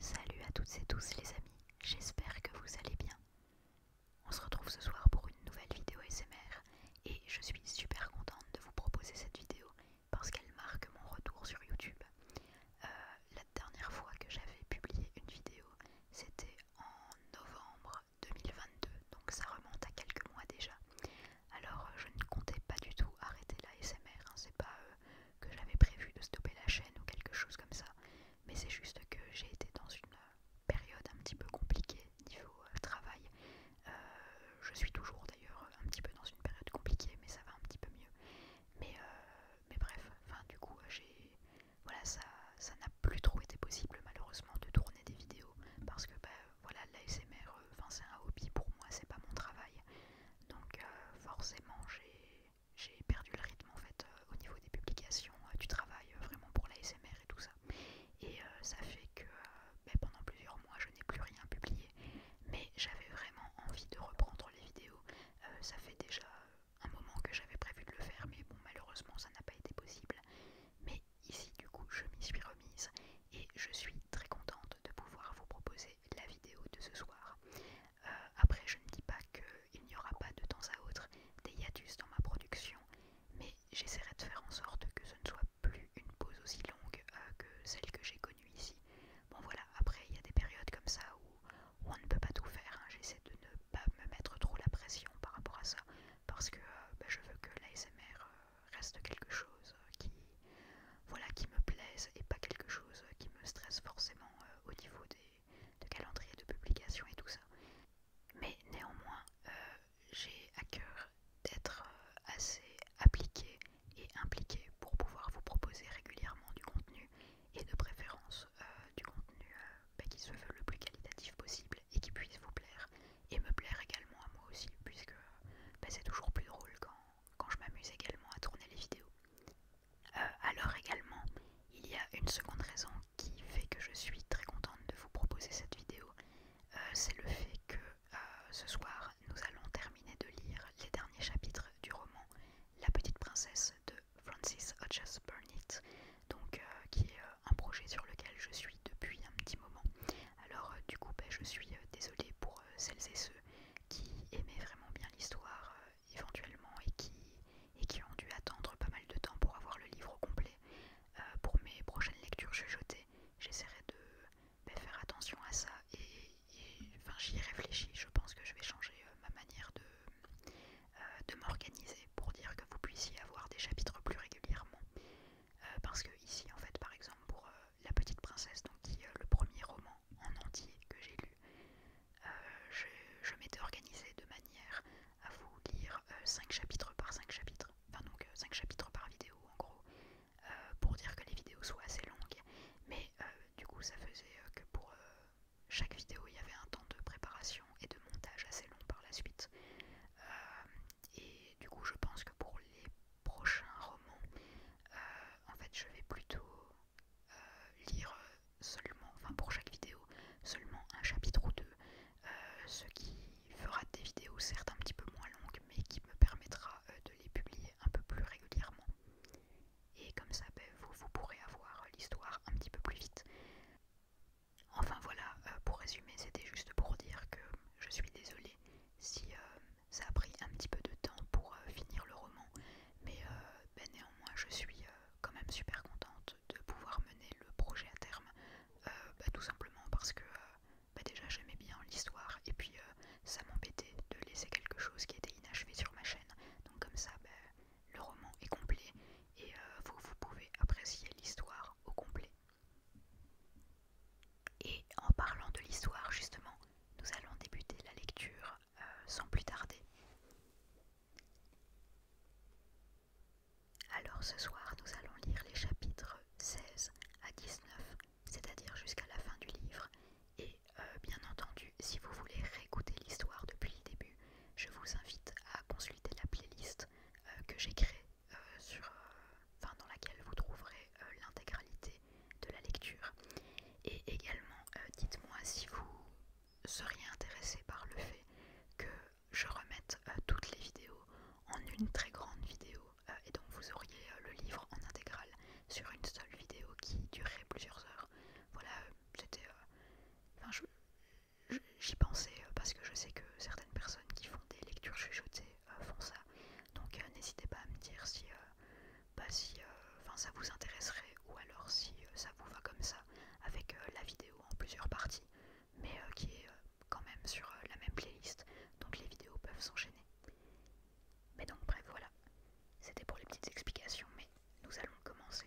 Salut à toutes et tous les amis, j'espère que vous allez bien. On se retrouve ce soir pour une nouvelle vidéo SMR et je suis super contente de vous proposer cette vidéo parce qu'elle marque mon retour sur YouTube. Euh, dernière fois que j'avais publié une vidéo, c'était en novembre 2022, donc ça remonte à quelques mois déjà. Alors euh, je ne comptais pas du tout arrêter la SMR, hein, c'est pas euh, que j'avais prévu de stopper la chaîne ou quelque chose comme ça, mais c'est juste que j'ai été dans une euh, période un petit peu compliquée niveau travail. je suis toujours d'ailleurs un petit peu dans une période compliquée, mais ça va un petit peu mieux. Mais, mais bref, enfin du coup j'ai voilà, ça ça n'a plus trop été possible malheureusement de tourner des vidéos parce que bah, voilà, l'ASMR, euh, enfin c'est un hobby pour moi, c'est pas mon travail. Donc euh, forcément j'ai perdu le rythme en fait euh, au niveau des publications, du travail vraiment pour l'ASMR et tout ça. Et ça fait que bah, pendant plusieurs mois je n'ai plus rien publié. Mais j'avais vraiment envie de reprendre les vidéos. ça fait déjà un moment que j'avais prévu de le faire, mais bon, malheureusement, ça n'a pas été possible. Mais ici, du coup, je m'y suis remise et je suis très contente de pouvoir vous proposer la vidéo de ce soir. Euh, après, je ne dis pas qu'il n'y aura pas de temps à autre des hiatus dans ma production, mais j'essaierai de faire en sorte que ce ne soit plus une pause aussi longue euh, que celle que j'ai connue ici. Bon voilà, après, il y a des périodes comme ça où on ne peut pas tout faire. Hein. J'essaie de ne pas me mettre trop la pression par rapport à ça parce que euh, bah, je veux que l'ASMR euh, reste quelque chose euh, qui, voilà, qui me plaise et pas quelque chose qui me stresse forcément au niveau des, calendriers de publication et tout ça. Mais néanmoins, j'ai à cœur d'être assez appliqué et impliqué pour pouvoir vous proposer régulièrement du contenu et de préférence euh, du contenu euh, bah, qui soit le plus qualitatif possible et qui puisse vous plaire et me plaire également à moi aussi puisque euh, bah, c'est toujours plus drôle quand, quand je m'amuse également à tourner les vidéos. alors également, il y a une seconde raison qui fait que je suis très contente de vous proposer cette vidéo, c'est le fait que ce soir nous allons terminer de lire les derniers chapitres du roman La Petite Princesse de Francis Hodges Burnett, donc euh, qui est euh, un projet sur lequel je suis depuis un petit moment. Alors euh, du coup, ben, je suis désolée pour celles et ceux qui aimaient vraiment bien l'histoire éventuellement et qui, et qui ont dû attendre pas mal de temps pour avoir le livre complet. pour mes prochaines lectures je chuchotées, j'essaierai de ben, faire attention à ça et, enfin, j'y réfléchis. Je pense que je vais changer ma manière de euh, de m'organiser pour dire que vous puissiez avoir des chapitres plus régulièrement. Euh, parce que ici, en fait, par exemple, pour euh, La Petite Princesse, donc qui est le premier roman en entier que j'ai lu, je, m'étais organisée de manière à vous lire 5 chapitres par 5 chapitres, enfin donc 5 chapitres par vidéo en gros, pour dire que les vidéos soient assez longues, mais du coup ça faisait que pour, chaque vidéo, il y avait un temps de préparation et de montage assez long par la suite. Euh, et du coup, je pense que pour les prochains romans, euh, en fait, je vais plutôt euh, lire seulement, enfin pour chaque vidéo, seulement un chapitre ou deux, ce qui fera des vidéos certes un petit peu moins longues, mais qui me permettra de les publier un peu plus régulièrement et comme ça ben, vous, pourrez avoir l'histoire un petit peu plus vite. Enfin voilà, euh, pour résumer, c'était juste pour dire que je suis désolée si euh, ça a pris un petit peu de temps pour euh, finir le roman, mais ben, néanmoins je suis quand même super contente de pouvoir mener le projet à terme, ben, tout simplement parce que déjà j'aimais bien l'histoire et puis ça m'empêtait de laisser quelque chose qui était inachevé sur ma chaîne, donc comme ça le roman est complet et euh, vous, vous pouvez apprécier l'histoire au complet. Et en parlant de l'histoire, justement, nous allons débuter la lecture euh, sans plus tarder. Alors ce soir, nous allons lire les chapitres 16 à 19, c'est-à-dire jusqu'à la fin du livre, et euh, bien entendu, si vous voulez réécouter l'histoire depuis le début, je vous invite à consulter la playlist euh, que j'ai créée, euh, sur, euh, dans laquelle vous trouverez l'intégralité de la lecture. Et également, dites-moi si vous seriez intéressé par le fait que je remette toutes les vidéos en une très grande vidéo, et donc vous auriez le livre en intégrale sur une seule vidéo qui durerait plusieurs heures. Voilà, c'était... Enfin, je j'y pensais euh, parce que je sais que certaines personnes qui font des lectures chuchotées euh, font ça. Donc euh, n'hésitez pas à me dire si, bah, si ça vous intéresserait ou alors si ça vous va comme ça avec la vidéo en plusieurs parties mais qui est quand même sur la même playlist donc les vidéos peuvent s'enchaîner. Mais donc bref voilà, c'était pour les petites explications mais nous allons commencer.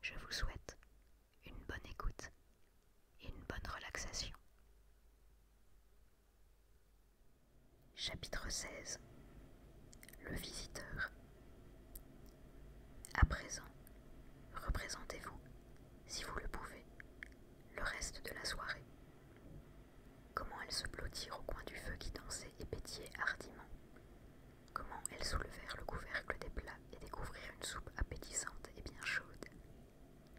Je vous souhaite une bonne écoute et une bonne relaxation. Chapitre 16 Le visiteur. À présent, représentez-vous, si vous le pouvez, le reste de la soirée. Comment elle se blottit au coin du feu qui dansait et pétillait hardiment, Comment elles soulevèrent le couvercle des plats et découvrirent une soupe appétissante et bien chaude.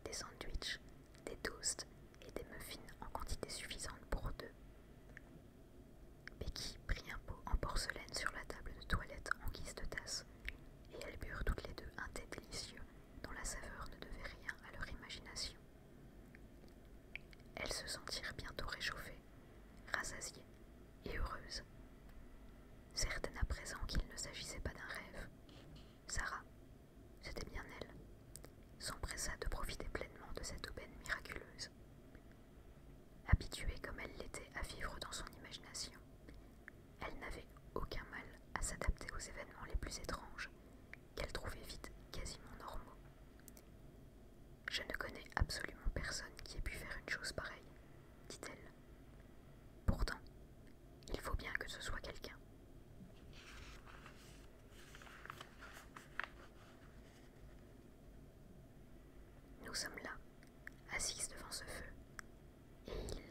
Des sandwichs, des toasts et des muffins en quantité suffisante pour deux. Becky prit un pot en porcelaine sur la table de toilette en guise de tasse, et elles burent toutes les deux un thé délicieux dont la saveur ne devait rien à leur imagination. Elles se sentirent bientôt réchauffées rassasiée et heureuse. Certaine à présent qu'il ne s'agissait pas d'un rêve, Sarah, c'était bien elle, s'empressa de profiter pleinement de cette aubaine miraculeuse. Habituée comme elle l'était à vivre dans son imagination, elle n'avait aucun mal à s'adapter aux événements les plus étranges qu'elle trouvait vite quasiment normaux. Je ne connais absolument personne qui ait pu faire une chose pareille, dit-elle. Pourtant, il faut bien que ce soit quelqu'un. Nous sommes là, assis devant ce feu, et il...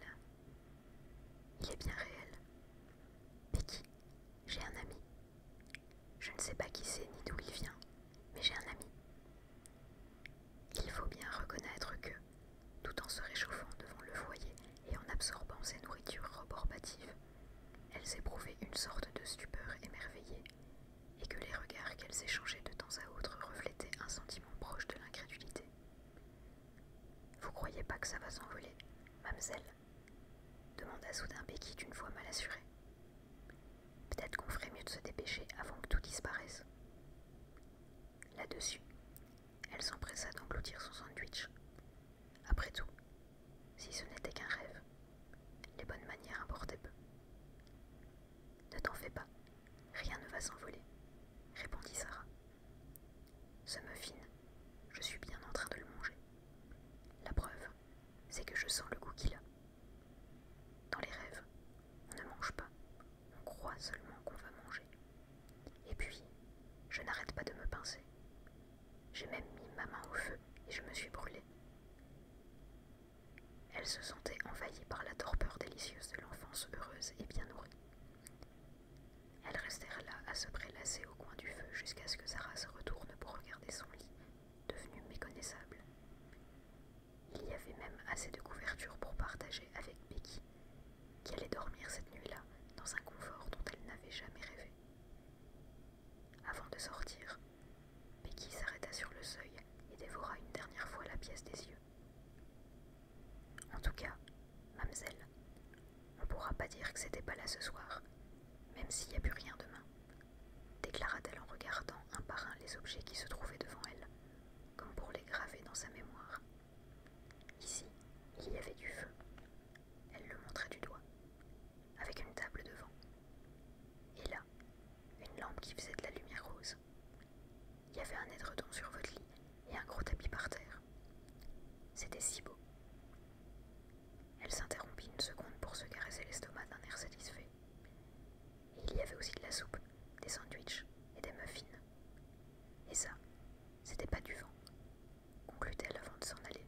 Il est bien réel. qui j'ai un ami. Je ne sais pas qui c'est ni d'où il vient, mais j'ai un ami. Il faut bien reconnaître que, tout en se réchauffant devant le foyer et en absorbant ses nourritures reborbatives, elles éprouvaient une sorte de stupeur émerveillée, et que les regards qu'elles échangeaient de temps à autre reflétaient un sentiment proche de l'incrédulité. Vous croyez pas que ça va s'envoler, mademoiselle ?» demanda soudain Becky d'une voix mal assurée. Peut-être qu'on ferait mieux de se dépêcher avant que tout disparaisse. Là-dessus, elle s'empressa d'engloutir son sandwich. Après tout, si ce n'était qu'un rêve, les bonnes manières importaient peu. Ne t'en fais pas, rien ne va s'envoler, répondit Sarah. Ce fine je suis bien en train de le manger. La preuve, c'est que je sens le goût qu'il a. Dans les rêves, on ne mange pas, on croit seulement qu'on va manger. Et puis, je n'arrête pas de me pincer. J'ai même mis ma main au feu et je me suis brûlée. Elle se sentait envahie par la torpeur délicieuse de l'enfance heureuse et bien nourrie. Elles restèrent là à se prélasser au coin du feu jusqu'à ce que zara se retourne pour regarder son lit, devenu méconnaissable. Il y avait même assez de couverture pour partager avec Becky, qui allait dormir cette nuit-là dans un confort dont elle n'avait jamais rêvé. Avant de sortir, Becky s'arrêta sur le seuil et dévora une dernière fois la pièce des yeux. En tout cas, mamselle, on ne pourra pas dire que c'était pas là ce soir, même s'il n'y a plus rien demain, déclara-t-elle en regardant un par un les objets qui se trouvaient devant elle, comme pour les graver dans sa mémoire. Ici, il y avait du feu. Elle le montrait du doigt, avec une table devant. Et là, une lampe qui faisait de la lumière rose. Il y avait un édredon sur votre lit et un gros tapis par terre. C'était si beau. Elle s'interrompit une seconde pour se caresser l'estomac d'un air satisfait il y avait aussi de la soupe, des sandwichs et des muffins. Et ça, c'était pas du vent, conclut-elle avant de s'en aller,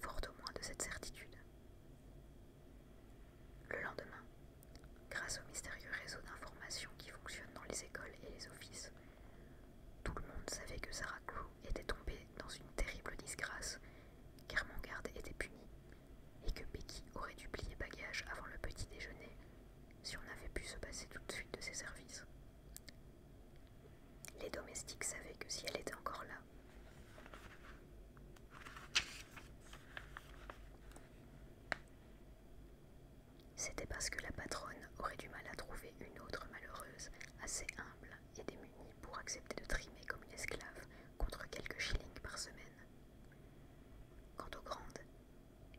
fort au moins de cette certitude. Le lendemain, grâce au mystérieux réseau d'informations qui fonctionne dans les écoles et les offices, tout le monde savait que Sarah Crew était tombée dans une terrible disgrâce, car était puni et que Becky aurait dû plier bagage avant le petit déjeuner si on avait pu se passer tout de suite de ses services. Les domestiques savaient que si elle était encore là, c'était parce que la patronne aurait du mal à trouver une autre malheureuse assez humble et démunie pour accepter de trimer comme une esclave contre quelques shillings par semaine. Quant aux grandes,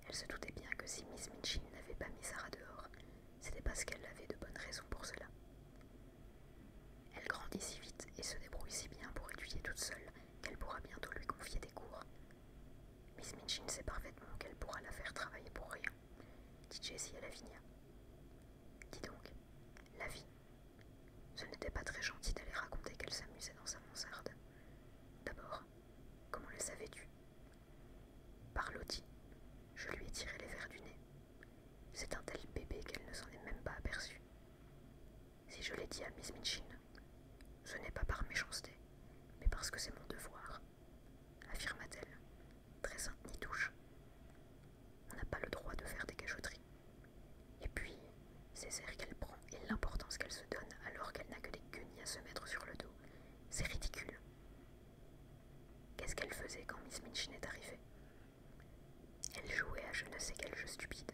elle se doutait bien que si Miss Minchin n'avait pas mis Sarah dehors, c'était parce qu'elle avait de bonnes raisons pour cela. Elle grandit si vite et se débrouille si bien pour étudier toute seule qu'elle pourra bientôt lui confier des cours. Miss Minchin sait parfaitement qu'elle pourra la faire travailler pour rien, dit Jessie à Lavinia. Dis donc, la vie, ce n'était pas très gentil d'aller raconter qu'elle s'amusait dans sa mansarde. D'abord, comment le savais-tu Par loti je lui ai tiré les verres du nez. C'est un tel bébé qu'elle ne s'en est même pas aperçue. Si je l'ai dit à Miss Minchin, ce n'est pas par méchanceté, mais parce que c'est mon devoir, affirma-t-elle, très sainte ni douche On n'a pas le droit de faire des cachoteries. Et puis, ces airs qu'elle prend et l'importance qu'elle se donne alors qu'elle n'a que des guenilles à se mettre sur le dos, c'est ridicule. Qu'est-ce qu'elle faisait quand Miss Minchin est arrivée Elle jouait à je ne sais quel jeu stupide.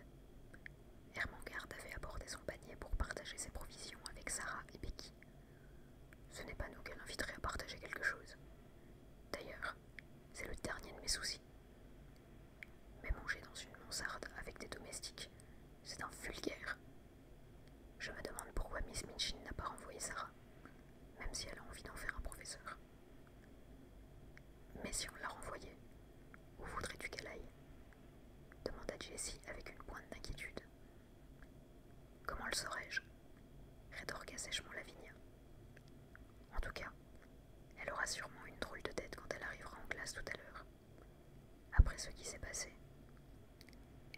Hermangarde avait abordé son panier pour partager ses provisions avec Sarah et Becky. Ce n'est pas nous qu'elle inviterait à partager quelque chose. D'ailleurs, c'est le dernier de mes soucis. Mais manger dans une mansarde avec des domestiques, c'est un vulgaire. Je me demande pourquoi Miss Minchin n'a pas renvoyé Sarah, même si elle a envie d'en faire un professeur. Mais si on l'a renvoyée, où voudrais-tu qu'elle aille demanda Jessie avec une pointe d'inquiétude. Comment le saurais-je rétorqua sèchement Lavinia. En tout cas, elle aura sûrement une drôle de tête quand elle arrivera en classe tout à l'heure. Après ce qui s'est passé,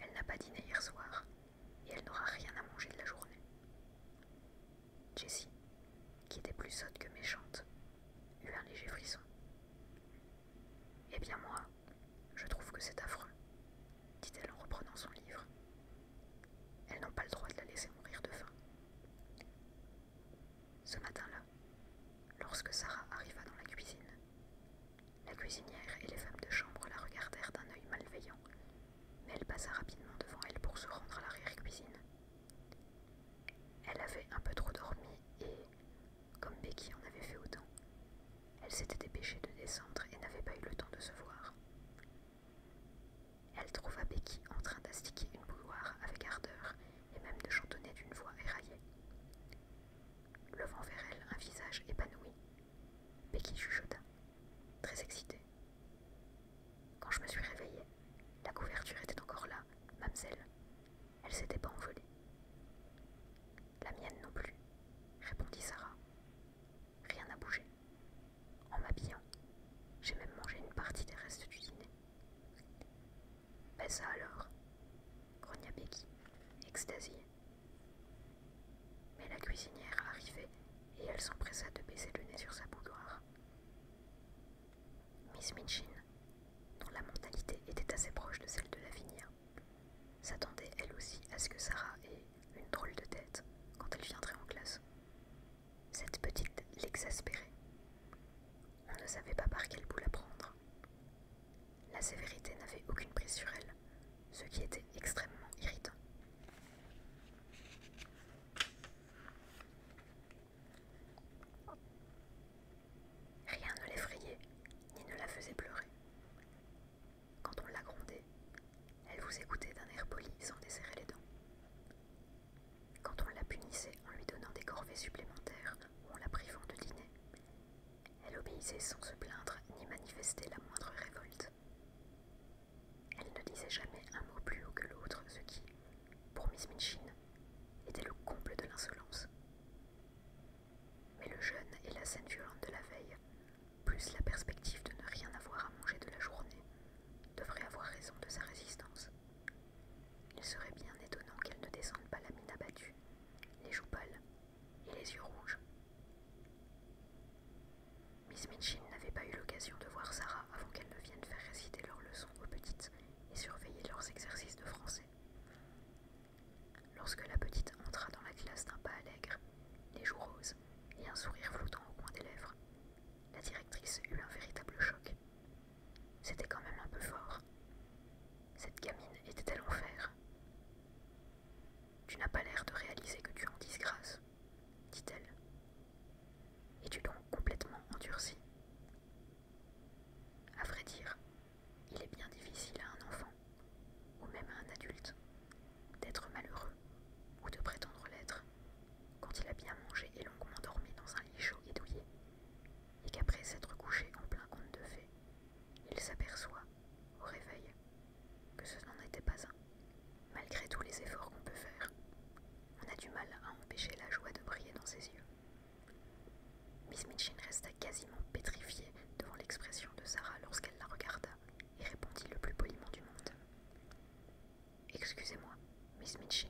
elle n'a pas dîné hier soir et elle n'aura rien à manger de la journée. Jessie, qui était plus sotte que méchante, eut un léger frisson. Eh bien moi, je trouve que c'est affreux, dit-elle en reprenant son livre. Elles n'ont pas le droit de la laisser mourir de faim. Ce matin-là, lorsque Sarah arriva dans la cuisine, la cuisinière et les femmes de chambre la regardèrent d'un œil malveillant, mais elle passa rapidement devant elle pour se rendre à l'arrière-cuisine. Elle avait un peu trop dormi et, comme Becky en avait fait autant, elle s'était dépêchée de descendre et n'avait pas eu le temps de se voir. Elle trouva Becky en train d'astiquer une bouilloire avec ardeur et même de chantonner d'une voix éraillée. Levant vers elle un visage épanoui, Becky chuchota, très excitée. Quand je me suis réveillée, la couverture était encore là, mamselle. Elle s'était pas envolée. La mienne non plus, répondit Sarah. Rien n'a bougé. En m'habillant, j'ai même mangé une partie des restes du dîner. Fais bah, alors, grogna Becky, extasiée. Mais la cuisinière arrivait et elle s'empressa de baisser le nez sur sa boudoir. Miss Mitchin, dont la mentalité était assez proche de celle de Lavinia, s'attendait elle aussi à ce que Sarah ait une drôle de tête quand elle viendrait en classe. Cette petite l'exaspérait. On ne savait pas par quel bout la prendre. La sévérité n'avait aucune prise sur elle, ce qui était extrêmement irritant. Rien ne l'effrayait, ni ne la faisait pleurer. Quand on la grondait, elle vous écoutait d'un air poli sans desserrer les dents quand on la punissait en lui donnant des corvées supplémentaires ou en la privant de dîner. Elle obéissait sans se plaindre ni manifester la moindre révolte. Elle ne disait jamais un mot plus haut que l'autre, ce qui, pour Miss Minchin, était le comble de l'insolence. Mais le jeûne et la scène violente de la veille, plus la perspective de ne rien avoir à manger de la journée, devraient avoir raison de sa résistance, il serait bien étonnant qu'elle ne descende pas la mine abattue, les joues pâles et les yeux rouges. Miss Minchin n'avait pas eu l'occasion de voir Sarah avant qu'elle ne vienne faire réciter leurs leçons aux petites et surveiller leurs exercices de français. Lorsque la petite entra dans la classe d'un pas allègre, les joues roses et un sourire flottant au coin des lèvres, la directrice eut un véritable choc c'était quand même un peu fort. Cette gamine était-elle l'enfer. »« Tu n'as pas l'air de réaliser que tu es en disgrâce, dit-elle. et tu donc complètement endurci À vrai dire, il est bien difficile à un enfant, ou même à un adulte, d'être malheureux ou de prétendre l'être quand il a bien mangé et longuement dormi dans un lit chaud et douillet et qu'après s'être couché en plein conte de fées, il s'aperçoit, au réveil, que ce n'en était pas un. Malgré tous les efforts qu'on peut faire, on a du mal à empêcher la joie de briller dans ses yeux. Miss Mitchin resta quasiment pétrifiée devant l'expression de Sarah lorsqu'elle la regarda et répondit le plus poliment du monde. Excusez-moi, Miss Mitchin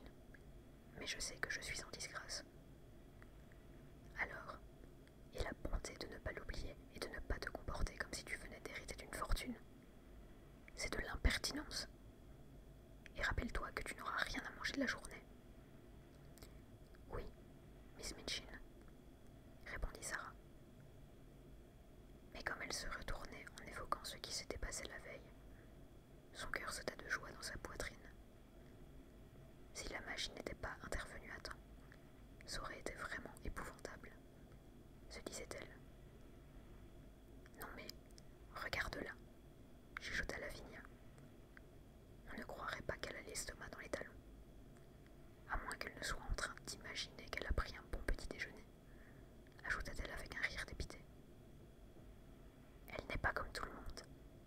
mais je sais que je suis en disgrâce. Alors, et la bonté de ne pas l'oublier et de ne pas te comporter comme si tu venais d'hériter d'une fortune. C'est de l'impertinence. Et rappelle-toi que tu n'auras rien à manger de la journée. Oui, Miss Mitchin, répondit Sarah. Mais comme elle se retournait en évoquant ce qui s'était passé la veille, son cœur sauta de joie dans sa poitrine. Si la magie n'était pas intervenue à temps, ça aurait été vraiment épouvantable, se disait-elle. Non mais, regarde-la, chuchota Lavinia. On ne croirait pas qu'elle a l'estomac dans les talons, à moins qu'elle ne soit en train d'imaginer qu'elle a pris un bon petit déjeuner, ajouta-t-elle avec un rire dépité. Elle n'est pas comme tout le monde,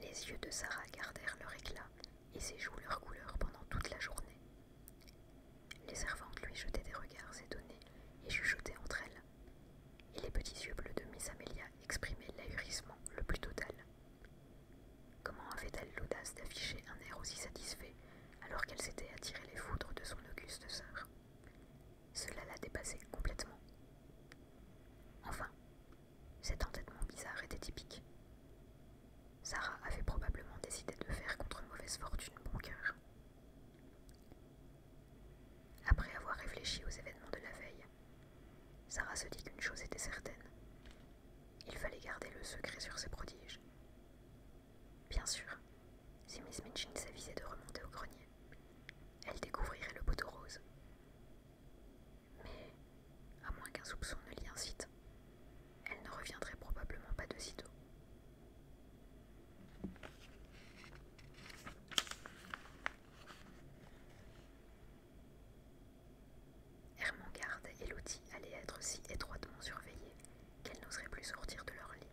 Les yeux de Sarah gardèrent leur éclat et ses joues leur couleur pendant toute la journée. Les servantes lui jetaient des regards étonnés et chuchotaient entre elles, et les petits yeux bleus de Miss Amelia exprimaient l'ahurissement le plus total. Comment avait-elle l'audace d'afficher un air aussi satisfait alors qu'elle s'était attiré les foudres de son auguste sœur Cela la dépassait complètement. Enfin, cet entêtement bizarre était typique. Sarah avait probablement décidé de faire contre mauvaise fortune bon cœur. Après avoir réfléchi aux événements de la veille, Sarah se dit qu'une chose était certaine. Il fallait garder le secret sur ses prodiges. Bien sûr, si Miss Minchin s'avisait de remonter au grenier, elle découvrirait le poteau rose. Mais, à moins qu'un soupçon ne l'y incite, elle ne reviendrait probablement pas de sitôt. Hermengarde et Lottie allaient être si étroitement surveillées qu'elles n'oseraient plus sortir de leur lit.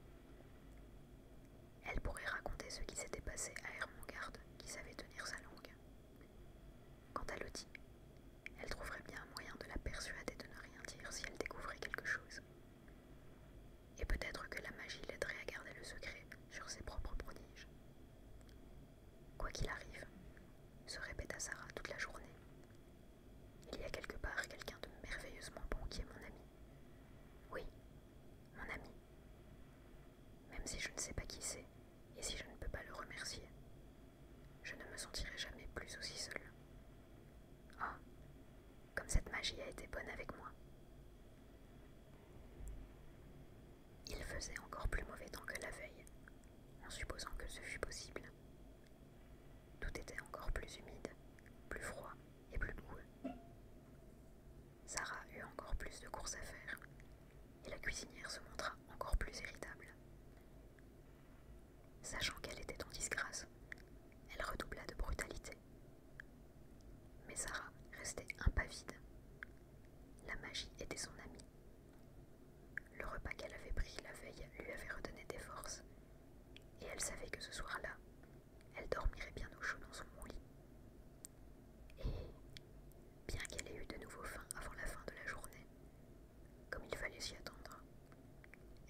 Elles pourraient raconter ce qui s'était passé à Hermengarde, qui savait tenir sa langue. Quant à Lottie, elle trouverait bien un moyen de la persuader de ne rien dire si elle découvrait quelque chose. Et peut-être que la magie l'aiderait à garder le secret sur ses propres prodiges. Quoi qu'il arrive, se répéta Sarah toute la journée, il y a quelque part quelqu'un de merveilleusement bon qui est mon ami. Oui, mon ami. Même si je ne sais pas qui c'est, et si je ne peux pas le remercier, je ne me sentirai jamais plus aussi seule. Oh, ah, comme cette magie a été bonne avec moi. Il faisait encore plus mauvais temps que la veille, en supposant que ce fût possible, tout était encore plus humide, plus froid et plus mou. Sarah eut encore plus de courses à faire, et la cuisinière se montra encore plus irritable. Sachant qu'elle était en disgrâce, elle redoubla de brutalité. Mais Sarah restait impavide. La magie était son amie, le repas qu'elle avait pris la veille lui avait redonné des forces, et elle savait que ce soir-là, elle dormirait bien au chaud dans son lit. Et, bien qu'elle ait eu de nouveau faim avant la fin de la journée, comme il fallait s'y attendre,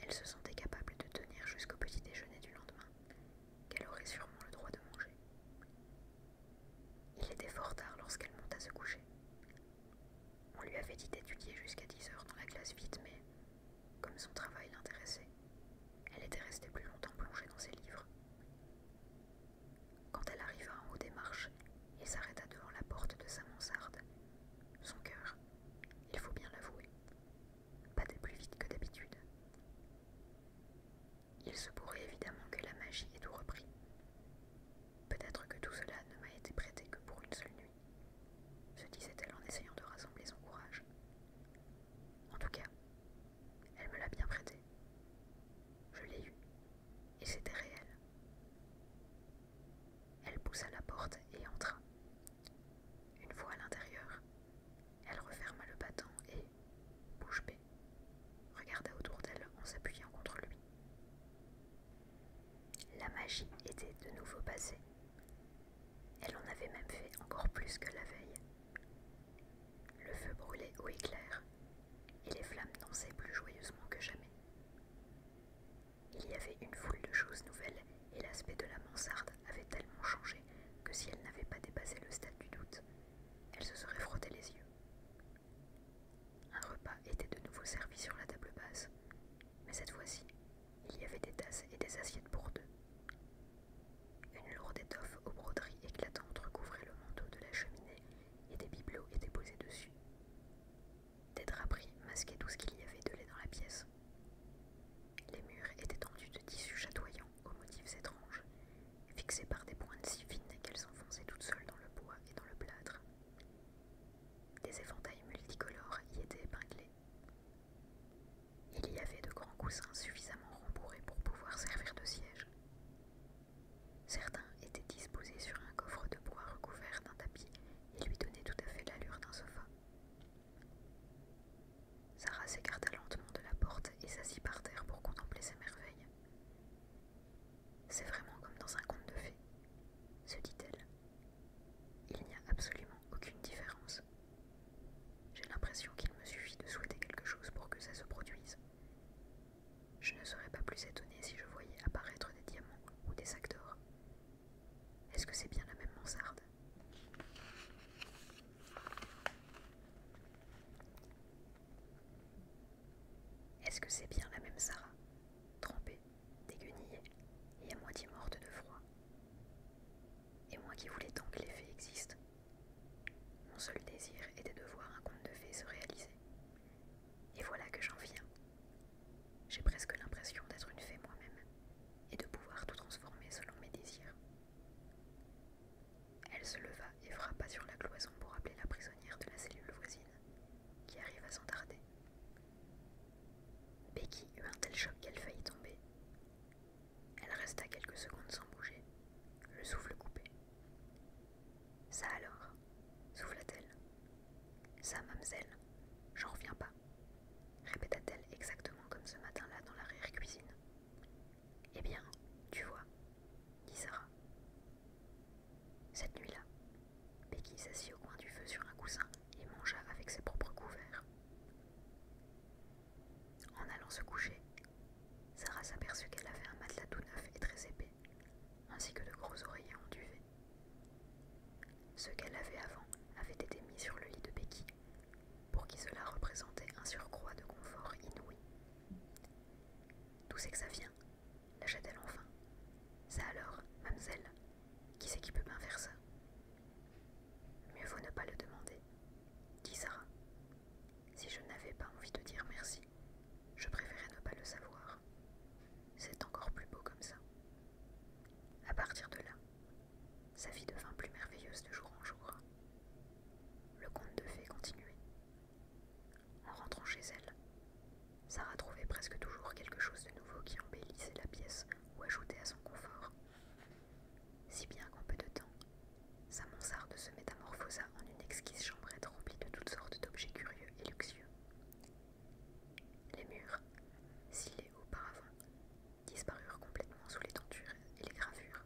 elle se sentait capable de tenir jusqu'au petit déjeuner du lendemain, qu'elle aurait sûrement le droit de manger. Il était fort tard lorsqu'elle monta se coucher, on lui avait dit d'étudier jusqu'à 10 heures dans la classe vide, mais comme son travail l'intéressait, elle était restée plus longtemps plongée dans ses livres. Quand elle arriva en haut des marches et s'arrêta devant la porte de sa mansarde, son cœur, il faut bien l'avouer, battait plus vite que d'habitude. Il se pourrait évidemment que la magie ait tout repris. Peut-être que tout cela ne m'a été prêté que pour une seule nuit se disait-elle en essayant de rassembler son courage. En tout cas, elle me l'a bien prêté. Je l'ai eu, et c'était réel. Elle poussa la porte et entra. Une fois à l'intérieur, elle referma le battant et, bouche bée, regarda autour d'elle en s'appuyant contre lui. La magie était de nouveau passée. Elle en avait même fait encore plus que la veille. Le feu brûlait au éclair, et les flammes dansaient plus joyeusement que jamais. Il y avait une foule de choses nouvelles, et l'aspect de la mansarde avait tellement changé que si elle n'avait pas dépassé le stade du doute, elle se serait frottée les yeux. Un repas était de nouveau servi sur la table basse, mais cette fois-ci, il y avait des tasses et des assiettes pour deux. Une lourde étoffe aux broderies éclatantes recouvrait le manteau de la cheminée et des bibelots étaient posés dessus. Des draperies masquaient tout ce qu'il y avait de lait dans la pièce. Les murs étaient tendus de tissus chatoyants aux motifs étranges, fixés par des pointes si fines qu'elles s'enfonçaient toutes seules dans le bois et dans le plâtre, des éventails multicolores y étaient épinglés. Il y avait de grands coussins suffisamment rembourrés pour pouvoir servir de siège. Certains étaient disposés sur un coffre de bois recouvert d'un tapis et lui donnaient tout à fait l'allure d'un sofa. Sarah s'écarta lentement de la porte et s'assit par terre pour contempler ces merveilles. C'est vraiment comme dans un conte de fées, se dit-elle. Il n'y a absolument aucune différence. J'ai l'impression qu'il me suffit de souhaiter quelque chose pour que ça se produise. Je ne serais pas plus étonnée si je voyais apparaître des diamants ou des sacs Est-ce que c'est bien la même mansarde Est-ce que c'est bien la même Sarah, trempée déguenillée et à moitié morte de froid. Et moi qui voulais tant que les fées existent. Mon seul désir était de voir un conte de fées se réaliser. Et voilà que j'en viens. J'ai presque l'impression d'être une fée moi-même et de pouvoir tout transformer selon mes désirs. Elle se leva et frappa sur la cloison pour appeler la prisonnière de la cellule voisine, qui arrive à s'entarder. Becky eut un tel choc qu'elle faillit tomber. Elle resta quelques secondes sans bouger, le souffle coupé. Ça alors souffla-t-elle. Ça, mademoiselle, j'en reviens pas, répéta-t-elle exactement comme ce matin-là dans l'arrière-cuisine. Eh bien, tu vois, dit Sarah. Cette nuit-là, Becky s'assit au coin du feu sur un coussin et mangea avec ses propres couverts. En allant se coucher, Sarah s'aperçut qu'elle avait un matelas tout neuf et très épais, ainsi que de gros oreillers en duvet. Ce qu'elle avait avant avait été mis sur le lit de Becky, pour qui cela représentait un surcroît de confort inouï. D'où c'est que ça vient lâcha-t-elle enfin. Ça alors, mademoiselle Qui c'est qui peut bien faire ça Mieux vaut ne pas le demander, dit Sarah. Si je n'avais pas envie de dire merci, je préférais ne pas le savoir. C'est encore plus beau comme ça. À partir de là, sa vie devint plus merveilleuse de jour en jour. Le conte de fées continuait. En rentrant chez elle, Sarah trouvait presque toujours quelque chose de nouveau qui embellissait la pièce ou ajoutait à son confort. Si bien qu'en peu de temps, sa mansarde se métamorphosa en une exquise chambrette remplie de toutes sortes d'objets curieux et luxueux. Les murs, scellés auparavant, disparurent complètement sous les tentures et les gravures.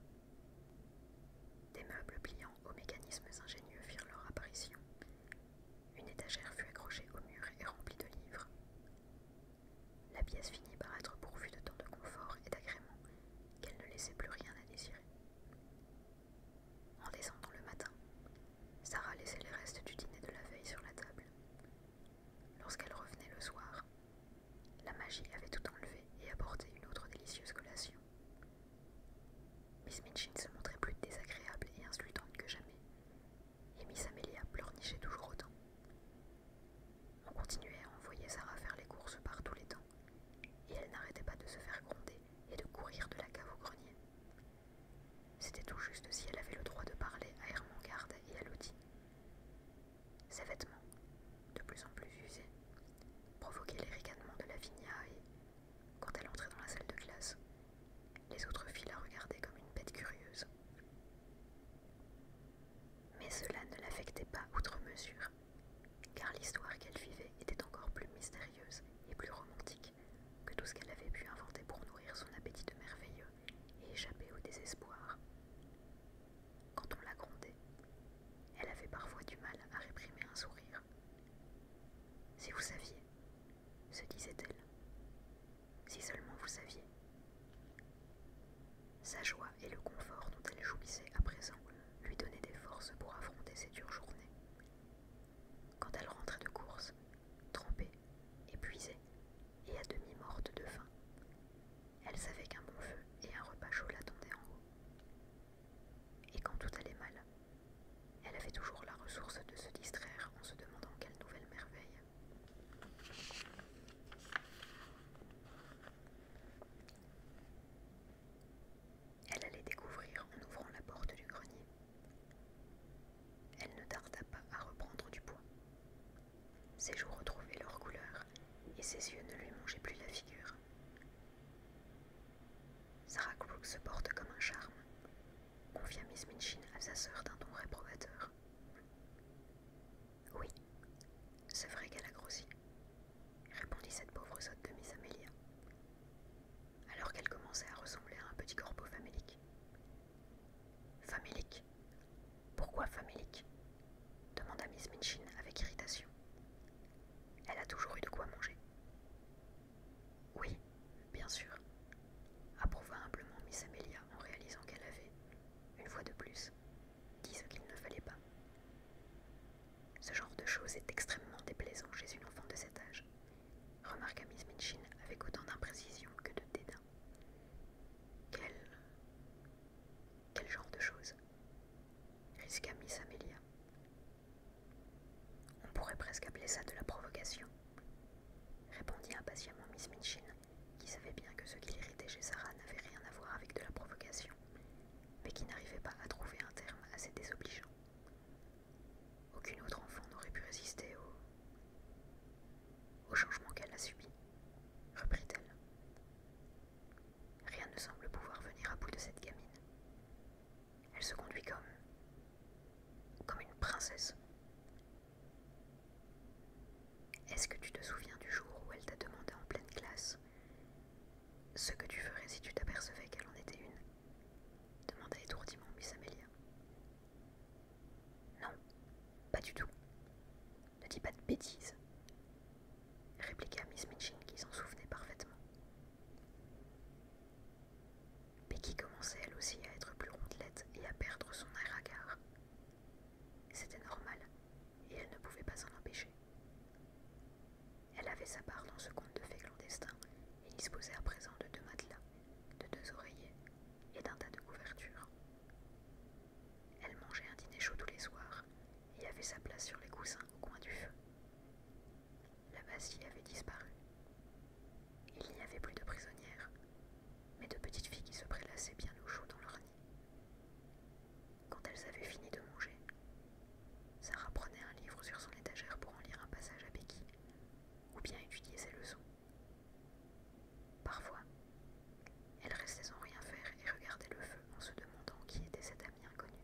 Des meubles pliants aux mécanismes ingénieux firent leur apparition, une étagère fut accrochée au mur et remplie de livres. La pièce finit par être pourvue de tant de confort et d'agréments qu'elle ne laissait plus rien à désirer. En descendant le matin, Sarah laissait les restes du dîner de la veille sur la table. Lorsqu'elle revenait le soir, la magie avait tout enlevé et apporté une autre délicieuse collation. Miss Minchin se montrait plus désagréable et insultante que jamais, et Miss Amélia pleurnichait toujours autant. On continuait à envoyer Sarah faire les courses par tous les temps, et elle n'arrêtait pas de se faire gronder et de courir de la cave au grenier. C'était tout juste si elle avait le droit de parler à Ermangarde et à Lodi. Ses vêtements, de plus en plus usés, provoquaient les ricanements de Lavinia et, quand elle entrait dans la salle de classe, les autres filles la regardaient comme une bête curieuse. Mais cela ne l'affectait pas outre mesure, car l'histoire qu'elle vivait était encore plus mystérieuse et plus romantique que tout ce qu'elle avait pu inventer pour nourrir son appétit de merveilleux et échapper au désespoir. Quand on la grondait, elle avait parfois du mal à réprimer un sourire. Si vous saviez, se disait-elle. Si seulement vous saviez. Sa joie et le confort dont elle jouissait à présent lui donnaient des forces pour affronter ces dures journées. Quand elle rentrait de course, trempée, épuisée et à demi morte de faim, elle savait qu'un bon feu et un repas chaud l'attendaient en haut. Et quand tout allait mal, elle avait toujours la ressource de se distraire en se demandant quelle nouvelle merveille. Elle allait découvrir en ouvrant la porte du grenier. Elle ne tarda pas à reprendre du poids. Ses joues retrouvaient leur couleur et ses yeux ne lui mangeaient plus la figure. Sarah Crook se porte comme un charme, confia Miss Minchin à sa sœur d'un ton réprobateur. Oui, c'est vrai qu'elle a grossi, répondit cette pauvre sotte de Miss Amelia, alors qu'elle commençait à ressembler à un petit corbeau famélique. Famélique Pourquoi famélique demanda Miss Minchin avec irritation. Elle a toujours eu de quoi manger. Oui, Bien sûr, approuva humblement Miss Amelia en réalisant qu'elle avait, une fois de plus, dit ce qu'il ne fallait pas. Ce genre de choses est extrêmement déplaisant chez une enfant de cet âge, remarqua Miss Minchin avec autant d'imprécision que de dédain. Quel. quel genre de choses risqua Miss Amelia. On pourrait presque appeler ça de la provocation, répondit impatiemment Miss Minchin, qui savait bien que ce qui l'irritait chez Sarah n'avait rien à voir avec de la provocation, mais qui n'arrivait pas à trouver un terme assez désobligeant. Aucune autre enfant n'aurait pu résister au, au changement qu'elle a subi, reprit-elle. Rien ne semble pouvoir venir à bout de cette gamine. Elle se conduit comme... comme une princesse. Est-ce que tu te souviens du jour où elle t'a demandé en pleine classe ce que tu ferais si tu t'apercevais qu'elle en était une demanda étourdiment Miss Amelia. Non, pas du tout. Ne dis pas de bêtises, répliqua Miss Minchin qui s'en souvenait parfaitement mais commençait elle aussi à être plus rondelette et à perdre son air hagard. C'était normal, et elle ne pouvait pas s'en empêcher. Elle avait sa part dans ce conte de fées clandestin et disposait à présent de deux matelas, de deux oreillers et d'un tas de couvertures. Elle mangeait un dîner chaud tous les soirs et avait sa place sur les coussins au coin du feu. La Bassie avait disparu. Il n'y avait plus de prisonnières, mais de petites filles qui se prélassaient bien au chaud dans leur nid. Quand elles avaient fini de manger, Sarah prenait un livre sur son étagère pour en lire un passage à Becky, ou bien étudier ses leçons. Parfois, elle restait sans rien faire et regardait le feu en se demandant qui était cet ami inconnu.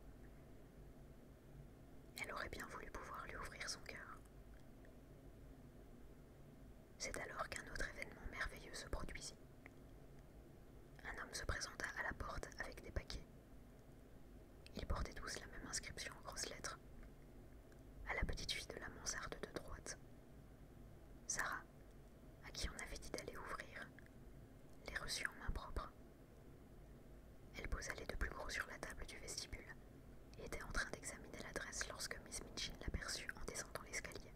Elle aurait bien voulu pouvoir lui ouvrir son cœur. C'est alors qu'un autre événement merveilleux se produisit. Un homme se présenta à la porte avec des paquets. Ils portaient tous la même inscription en grosses lettres. À la petite fille de la mansarde de droite. Sarah, à qui on avait dit d'aller ouvrir, les reçut en main propre. Elle posa les deux plus gros sur la table du vestibule il était en train d'examiner l'adresse lorsque Miss Minchin l'aperçut en descendant l'escalier.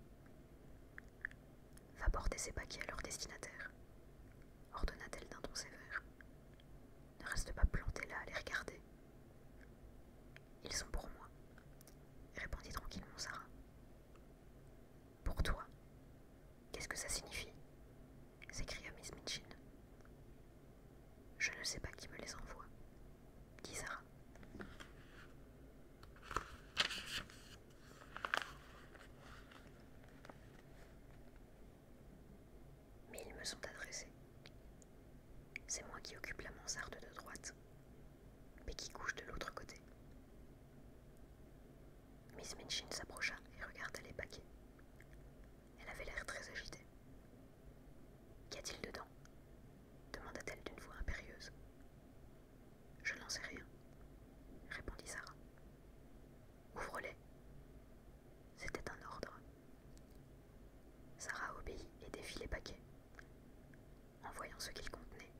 Va porter ces paquets à leur destinataire, ordonna-t-elle d'un ton sévère. Ne reste pas planté là à les regarder. Ils sont pour moi, répondit tranquillement Sarah. Pour toi Qu'est-ce que ça signifie s'écria Miss Minchin. Je ne sais pas qui me les envoie. dit Sarah Mais ils me sont adressés. C'est moi qui occupe la mansarde de droite, mais qui couche de l'autre côté. Miss Minchin s'approcha et regarda les paquets. Elle avait l'air très agitée. Qu'y a-t-il dedans demanda-t-elle d'une voix impérieuse. Je n'en sais rien, répondit Sarah. Ouvre-les. C'était un ordre. Sarah obéit et défit les paquets. En voyant ce qu'ils contenait,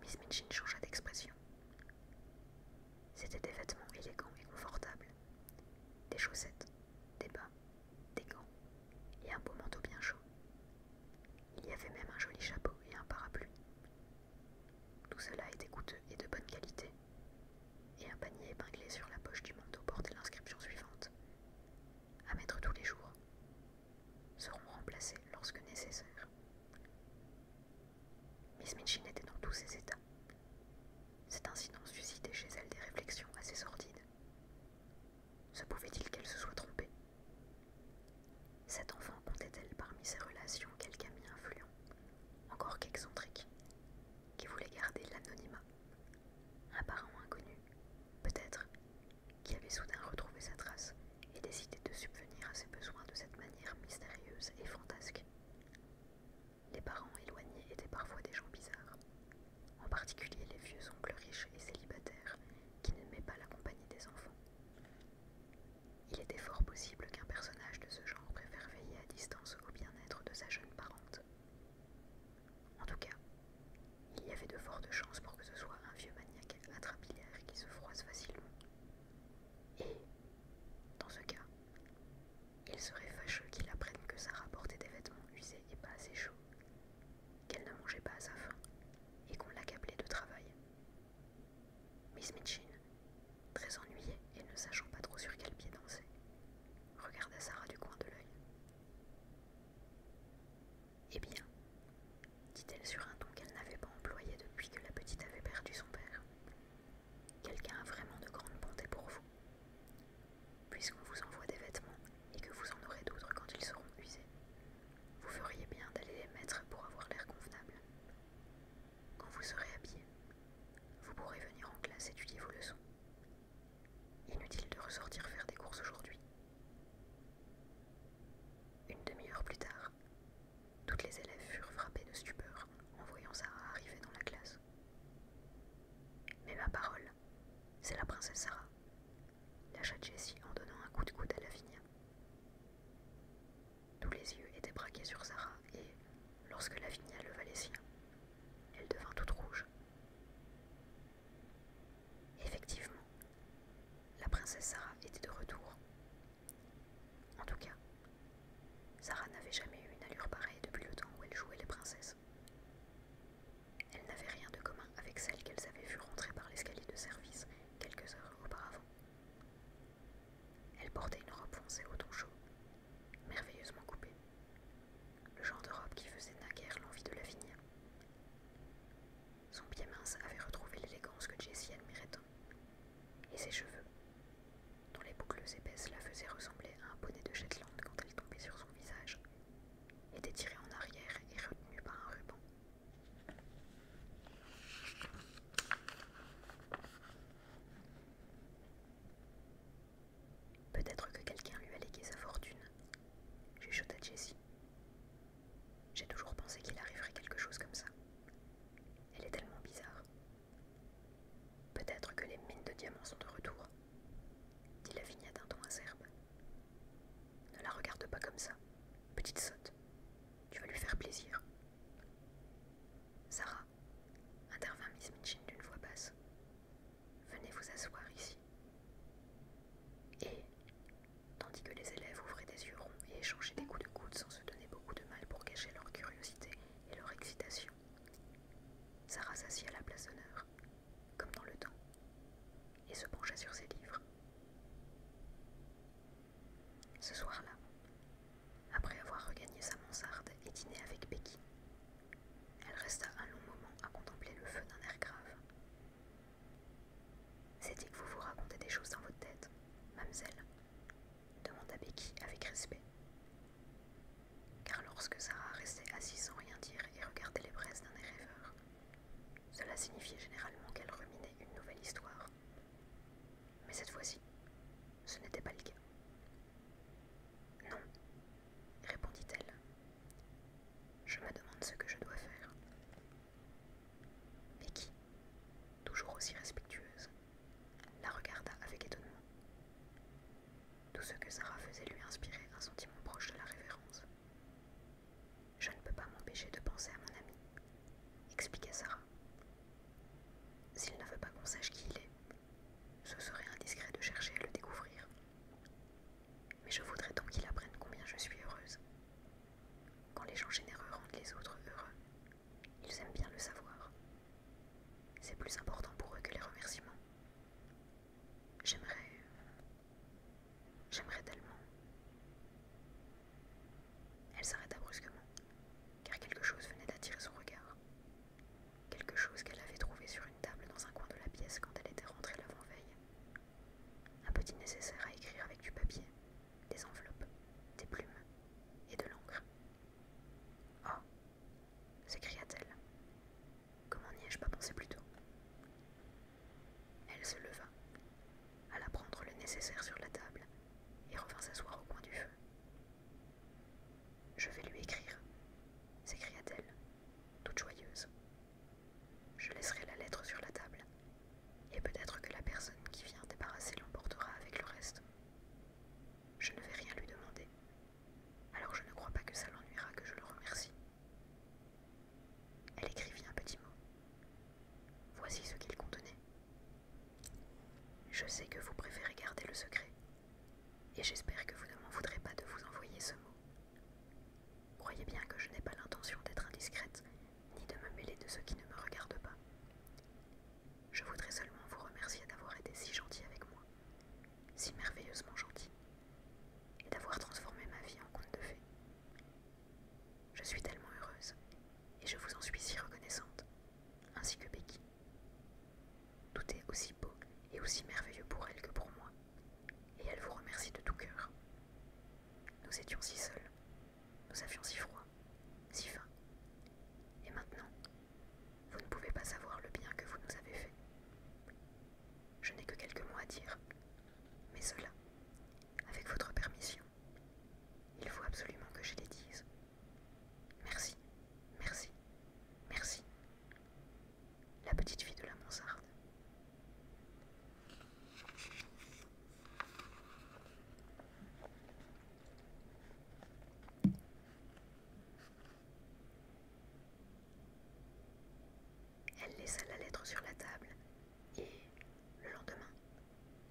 Miss Minchin changea d'expression. C'étaient des vêtements élégants et confortables, des chaussettes, des bas, des gants et un beau manteau bien chaud. Il y avait même un joli chapeau et un parapluie. Tout cela était coûteux et de bonne qualité, et un panier épinglé sur la poche du manteau portait l'inscription suivante à mettre tous les jours seront remplacés lorsque nécessaire. Miss Minchin était dans tous ses états. Cet incident suscitait chez elle des réflexions assez sordides, se pouvait-il qu'elle se soit trompée Cet enfant comptait-elle parmi ses relations quelqu'un ami influent, encore qu'excentrique, qui voulait garder l'anonymat Un parent inconnu, peut-être, qui avait soudain retrouvé sa trace et décidé de subvenir à ses besoins de cette manière mystérieuse et fantasque. Les parents éloignés étaient parfois des gens bizarres, en particulier les vieux oncles riches et célibataires qui ne met pas la compagnie des enfants. Il était fort possible qu'un personnage de ce genre préfère veiller à distance au bien-être de sa jeune parente. En tout cas, il y avait de fortes chances pour que ce soit un vieux maniaque atrapilaire qui se froisse facilement. Et, dans ce cas, il serait fâcheux qu'il apprenne que Sarah portait des vêtements usés et pas assez chauds, qu'elle ne mangeait pas à sa faim et qu'on l'accablait de travail. Miss Mitchin, très ennuyée et ne sachant pas trop sur quel pied danser, regarda Sarah du coin de l'œil. Eh bien, dit-elle sur un ton qu'elle n'avait pas employé depuis que la petite avait perdu son père, quelqu'un a vraiment de grande bonté pour vous puisqu'on vous envoie des vêtements et que vous en aurez d'autres quand ils seront usés. Vous feriez bien d'aller les mettre pour avoir l'air convenable. Quand vous serez habillé, vous pourrez venir en classe étudier vos leçons. Inutile de ressortir faire des courses aujourd'hui. Une demi-heure plus tard, toutes les élèves furent frappées de stupeur en voyant Sarah arriver dans la classe. Mais ma parole, c'est la princesse Sarah, lâcha Jessie en donnant un coup de coude à Lavinia. Tous les yeux étaient braqués sur Sarah et, lorsque Lavinia leva les siens, elle devint toute rouge. Effectivement, la princesse Sarah était de retour. En tout cas, Sarah n'avait jamais eu une allure pareille depuis le temps où elle jouait les princesses. Elle n'avait rien de commun avec celle qu'elles avaient vue rentrer par l'escalier de service quelques heures auparavant. Elle portait une robe foncée au ton chaud, merveilleusement coupée, le genre de robe qui faisait naguère l'envie de la finir. Son pied mince avait retrouvé l'élégance que Jessie admirait tant, et ses cheveux, dont les boucles épaisses la faisaient ressembler à un bonnet de Shetland quand elle tombait sur son visage, était tiré en arrière et retenu par un ruban. Peut-être que quelqu'un lui a légué sa fortune, chuchota Jessie. J'ai toujours pensé qu'il arriverait quelque chose comme ça. Elle est tellement bizarre. Peut-être que les mines de diamants sont de retour, dit la Lavinia d'un ton acerbe. Ne la regarde pas comme ça, petite sotte. Tu vas lui faire plaisir. Sarah, intervint Miss Minchin d'une voix basse. Venez vous asseoir ici. Et, tandis que les élèves ouvraient des yeux ronds et échangeaient des coups de coude sans se donner beaucoup de mal pour cacher leur curiosité et leur excitation, Sarah s'assit à la place d'honneur, comme dans le temps, et se pencha sur ses livres. Ce soir-là, après avoir regagné sa mansarde et dîné avec Becky, elle resta un long moment à contempler le feu d'un air grave. cest que vous vous racontez des choses dans votre tête, mademoiselle demanda Becky avec respect. Car lorsque Sarah restait assise sans rien dire et regardait les presses d'un air rêveur, cela signifiait généralement qu'elle ruminait une nouvelle histoire. Mais cette fois-ci, ce n'était pas le cas. Non, répondit-elle. Je me demande ce que je dois faire. qui, toujours aussi respectueuse, la regarda avec étonnement. Tout ce que Sarah faisait lui inspirait un sentiment proche de la révérence. Je ne peux pas m'empêcher de penser à mon ami, expliqua Sarah. S'il ne veut pas qu'on sache qui il est, ce serait indiscret de chercher à le découvrir. Mais je voudrais donc qu'il apprenne combien je suis heureuse. Quand les gens généreux rendent les autres heureux, ils aiment bien le savoir. C'est plus important pour eux que les remerciements, J'aimerais... J'aimerais tellement... Elle s'arrêta brusquement, car quelque chose venait d'attirer son regard. Quelque chose qu'elle avait trouvé sur une table dans un coin de la pièce quand elle était rentrée l'avant-veille. Un petit nécessaire à écrire avec du papier, des enveloppes, des plumes et de l'encre. Oh s'écria-t-elle. Comment n'y ai-je pas pensé plus tôt Elle se leva, alla prendre le nécessaire sur la table et revint s'asseoir au coin du feu. Je vais lui écrire, s'écria-t-elle, toute joyeuse. Je laisserai la lettre sur la table, et peut-être que la personne qui vient débarrasser l'emportera avec le reste. Je ne vais rien lui demander, alors je ne crois pas que ça l'ennuiera que je le remercie. Elle écrivit un petit mot. Voici ce qu'il contenait. Je sais que vous préférez garder le secret, et j'espère que vous ne m'en voudrez pas de vous envoyer ce mot. Croyez bien que je n'ai pas l'intention d'être indiscrète, ni de me mêler de ceux qui ne me regardent pas. Je voudrais seulement vous remercier d'avoir été si gentil avec moi, si merveilleusement gentil et d'avoir transformé ma vie en conte de fées. Je suis tellement heureuse et je vous en suis si reconnaissante, ainsi que Becky. Tout est aussi beau et aussi merveilleux pour elle que pour moi, et elle vous remercie de tout cœur. Nous étions si seuls, nous avions si froid, si faim, et maintenant, vous ne pouvez pas savoir le bien que vous nous avez fait je n'ai que quelques mots à dire. Mais cela, avec votre permission, il faut absolument que je les dise. Merci, merci, merci. La petite fille de la mansarde. Elle laissa la lettre sur la table et, le lendemain,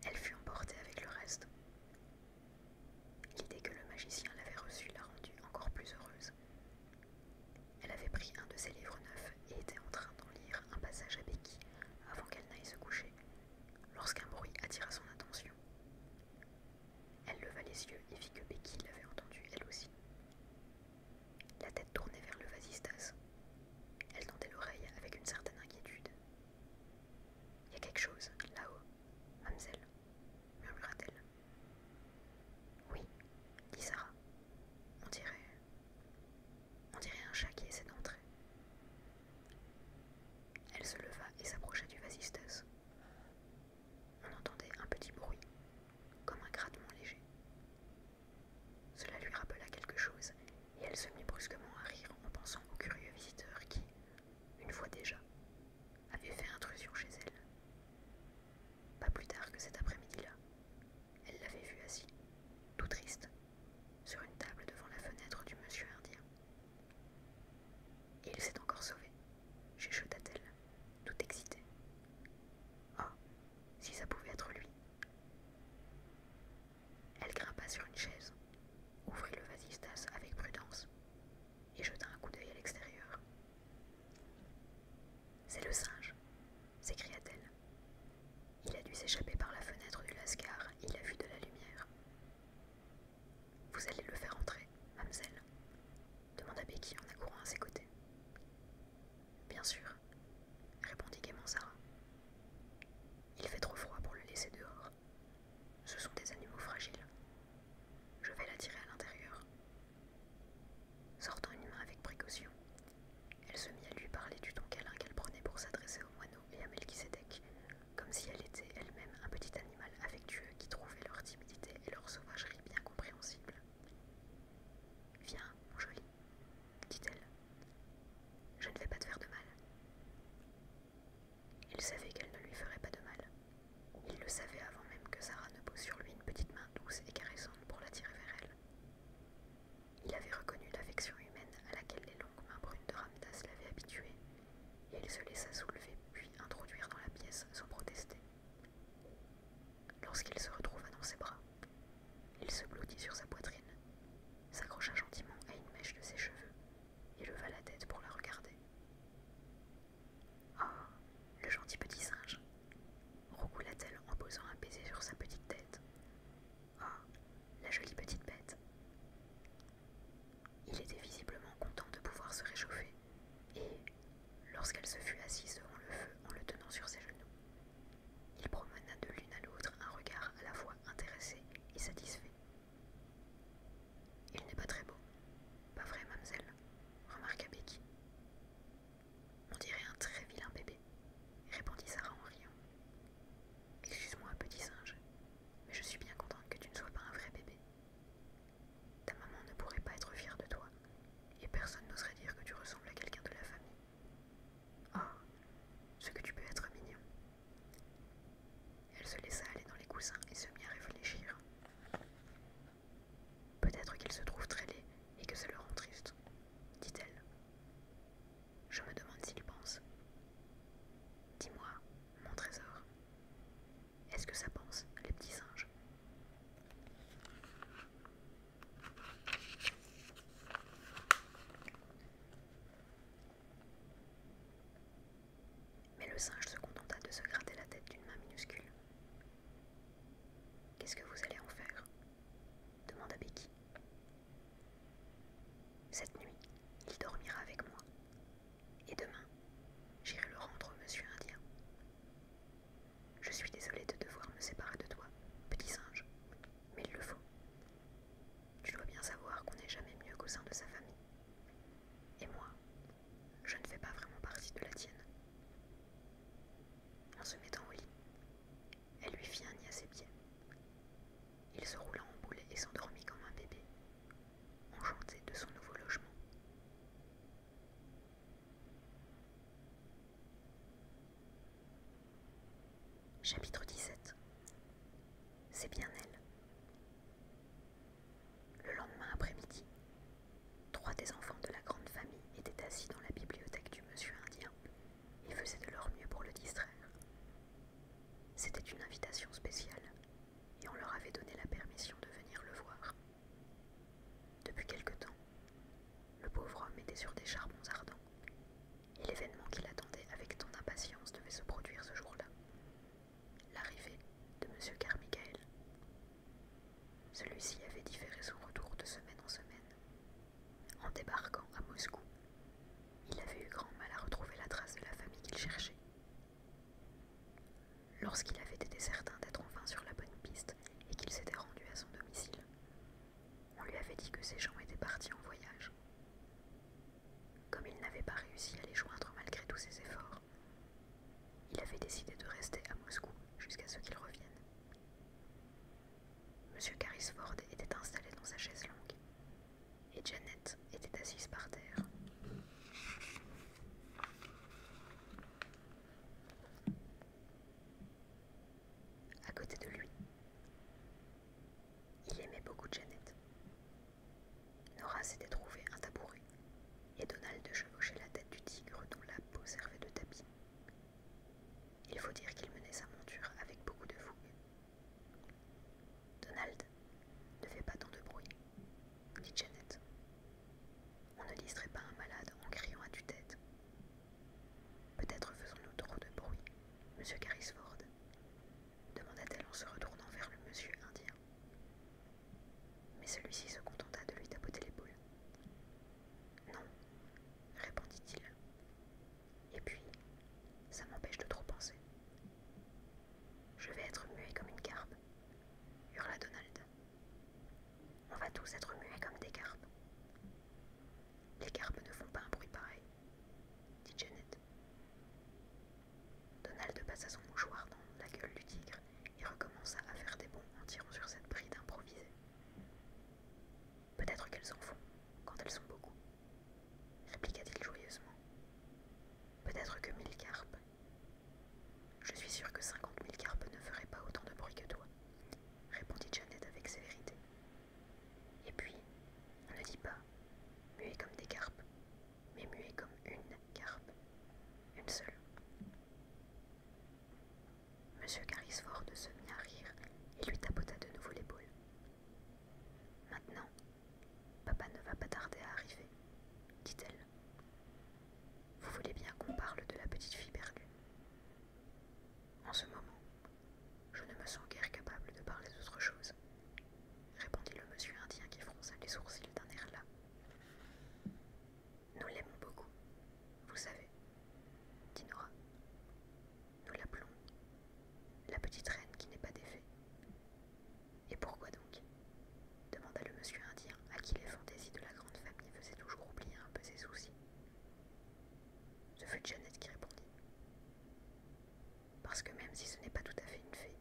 elle fut emportée avec le reste. L'idée que le magicien l'avait reçue l'a rendue encore plus heureuse. Elle avait pris un de ses livres neufs et était en train d'en lire un passage à Becky avant qu'elle n'aille se coucher, lorsqu'un bruit attira son attention. Elle leva les yeux et vit que Becky l'avait entendue elle aussi la tête tournée vers le vasistas. Elle tendait l'oreille avec une certaine inquiétude. Il y a quelque chose là-haut, mademoiselle, murmura-t-elle. Oui, dit Sarah. On dirait. On dirait un chat qui essaie d'entrer. Elle se leva et s'approcha du vasistas. On entendait un petit bruit, comme un grattement léger. Cela lui rappela quelque chose, et elle se mit brusquement à rire en pensant au curieux visiteur qui, une fois déjà, avait fait intrusion chez elle. Pas plus tard que cet après-midi-là, elle l'avait vu assis, tout triste, sur une table devant la fenêtre du monsieur indien. Et il s'est encore sauvé, chuchota-t-elle, tout excitée. Ah, si ça pouvait être lui. Elle grimpa sur une chaise, ouvrit le vasistas avec prudence et jeta un coup d'œil à l'extérieur. C'est le singe, s'écria-t-elle. Il a dû s'échapper par la fenêtre du lascar, il a vu de la lumière. Vous allez le faire entrer, mademoiselle demanda Becky en accourant à ses côtés. Bien sûr, répondit gaiement Sarah. Il fait trop froid pour le laisser dehors. Ce sont des animaux fragiles. Je vais l'attirer à l'intérieur. Sortant une main avec précaution, elle se mit à lui parler du ton câlin qu'elle prenait pour s'adresser au moineau et à Melchisedec, comme si elle était elle-même un petit animal affectueux qui trouvait leur timidité et leur sauvagerie bien compréhensibles. Viens, mon joli, dit-elle. Je ne vais pas te faire de mal. Il savait qu'elle ne lui ferait pas de mal. Il le savait avant même que Sarah ne pose sur lui une petite main douce et caressante pour l'attirer vers elle. Il avait reconnu l'affection humaine à laquelle les longues mains brunes de Ramdas l'avaient habituée, et il se laissa soulever puis introduire dans la pièce sans protester. Lorsqu'il se retrouva dans ses bras, il se blottit sur sa poitrine, s'accrocha gentiment à une mèche de ses cheveux et leva la tête pour la regarder. Ah, le gentil petit singe Roucoula-t-elle en posant un baiser sur sa petite tête. Ah, la jolie petite bête Il était visiblement content de pouvoir se réchauffer et, lorsqu'elle se fut assise devant le feu en le tenant sur ses genoux, il promena de l'une à l'autre un regard à la fois intéressé et satisfait. Il n'est pas très beau, pas vrai, mademoiselle, remarqua Becky. On dirait un très vilain bébé, répondit Sarah en riant. Excuse-moi, petit singe, mais je suis bien contente que tu ne sois pas un vrai bébé. Ta maman ne pourrait pas être fière de toi, et personne n'oserait dire que tu ressembles à quelqu'un de la famille. Oh, ce que tu peux être mignon. Elle se laissa aller dans les coussins et se mit à réfléchir. Peut-être qu'il se trouve très laid et que ça le rend triste, dit-elle. Je me demande s'il pense. Dis-moi, mon trésor, est-ce que ça pense, les petits singes mais le singe se contenta de se gratter la tête d'une main minuscule. Qu'est-ce que vous allez en faire demanda Becky. Cette nuit, il dormira avec moi. Et demain, j'irai le rendre au monsieur indien. Je suis désolée de devoir me séparer de toi, petit singe, mais il le faut. Tu dois bien savoir qu'on n'est jamais mieux qu'au sein de sa famille. Et moi, je ne fais pas vraiment partie de la tienne. En se mettant au lit, elle lui fit un nid à ses pieds. Il se roula en boule et s'endormit comme un bébé, enchanté de son nouveau logement. Chapitre 17 C'est bien elle. Le lendemain après-midi, trois des enfants de la grande famille étaient assis dans la bibliothèque du monsieur indien et faisaient de leur mieux pour le distraire. C'était une invitation spéciale et on leur avait donné la permission de venir le voir. Depuis quelque temps, le pauvre homme était sur des charbons ardents, et l'événement qu'il attendait avec tant d'impatience devait se produire ce jour-là. L'arrivée de M. Carmichael. Celui-ci avait différé son retour de semaine en semaine. En débarquant à Moscou, il avait eu grand mal à retrouver la trace de la famille qu'il cherchait. Lorsqu'il avait été certain d'être enfin sur la bonne piste et qu'il s'était rendu à son domicile, on lui avait dit que ses gens étaient partis en voyage. Comme il n'avait pas réussi à les joindre malgré tous ses efforts, il avait décidé de rester à Moscou jusqu'à ce qu'ils reviennent. Monsieur Carisford était installé dans sa chaise longue et Janet était assise par terre à côté de lui. Il aimait beaucoup Janet. Nora s'était trouvée un tabouret et Donald chevauchait la tête du tigre dont la peau servait de tapis. Il faut dire qu'il menait sa monture avec beaucoup de fougue. Donald, ne fais pas tant de bruit, dit Janet. On ne distrait pas un malade en criant à du tête Peut-être faisons-nous trop de bruit, monsieur Carrisford demanda-t-elle en se retournant vers le monsieur indien. Mais celui-ci se contenta de lui tapoter l'épaule. Non, répondit-il. Et puis, ça m'empêche de trop penser. Je vais être muet comme une carpe, hurla Donald. On va tous être muets comme des carpes. Les carpes ne font pas un bruit pareil, dit Janet. Donald passa son mouchoir dans la gueule du tigre et recommença à faire des bons en tirant sur cette bride improvisée. Peut-être qu'elles en font, quand elles sont beaucoup, répliqua-t-il joyeusement. Peut-être que mille carpes. Je suis sûr que cinquante mille carpes ne feraient pas autant de bruit que toi, répondit Janet avec sévérité. Et puis, on ne dit pas muet comme des carpes, mais muet comme une carpe, une seule. Monsieur Carisford se mit à rire et lui tapota de nouveau l'épaule. Maintenant, papa ne va pas tarder à arriver, dit-elle. Vous voulez bien qu'on parle de la petite fille perdue. En ce moment, je ne me sens guère capable de parler d'autre chose, répondit le monsieur indien qui fronça les sourcils d'un air là. Nous l'aimons beaucoup, vous savez, dit Nora. Nous l'appelons la petite reine qui n'est pas défait. Et pourquoi donc demanda le monsieur indien à qui les fantaisies de la grande famille faisaient toujours oublier un peu ses soucis. Ce fut Jeannette qui répondit. Parce que même si ce n'est pas tout à fait une fée,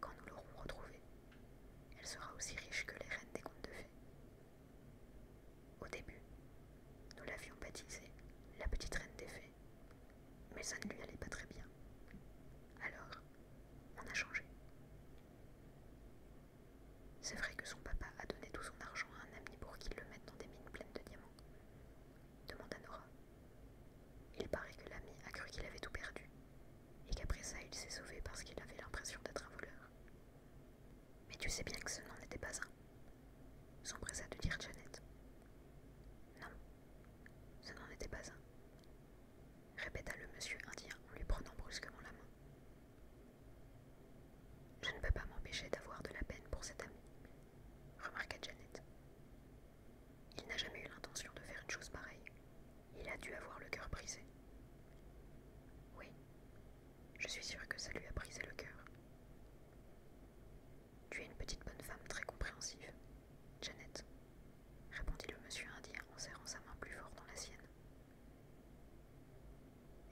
quand nous l'aurons retrouvée, elle sera aussi riche que les reines des contes de fées. Au début, nous l'avions baptisée la petite reine des fées, mais ça ne lui allait pas très bien. Alors, on a changé. C'est vrai que son papa a donné tout son argent à un ami pour qu'il le mette dans des mines pleines de diamants demanda Nora. Il paraît que l'ami a cru qu'il avait tout perdu, et qu'après ça il s'est sauvé parce qu'il avait l'impression d'être un voleur. Mais tu sais bien que ce n'en était pas un, s'empressa de dire Janet. Non, ce n'en était pas un, répéta le monsieur indien en lui prenant brusquement la main. Je ne peux pas m'empêcher d'avoir de la peine pour cet ami, remarqua Janet. Il n'a jamais eu l'intention de faire une chose pareille. Il a dû avoir le cœur brisé. Oui, je suis sûre que ça lui a brisé le cœur. Tu es une petite bonne femme très compréhensive, Janet, répondit le monsieur indien en serrant sa main plus fort dans la sienne.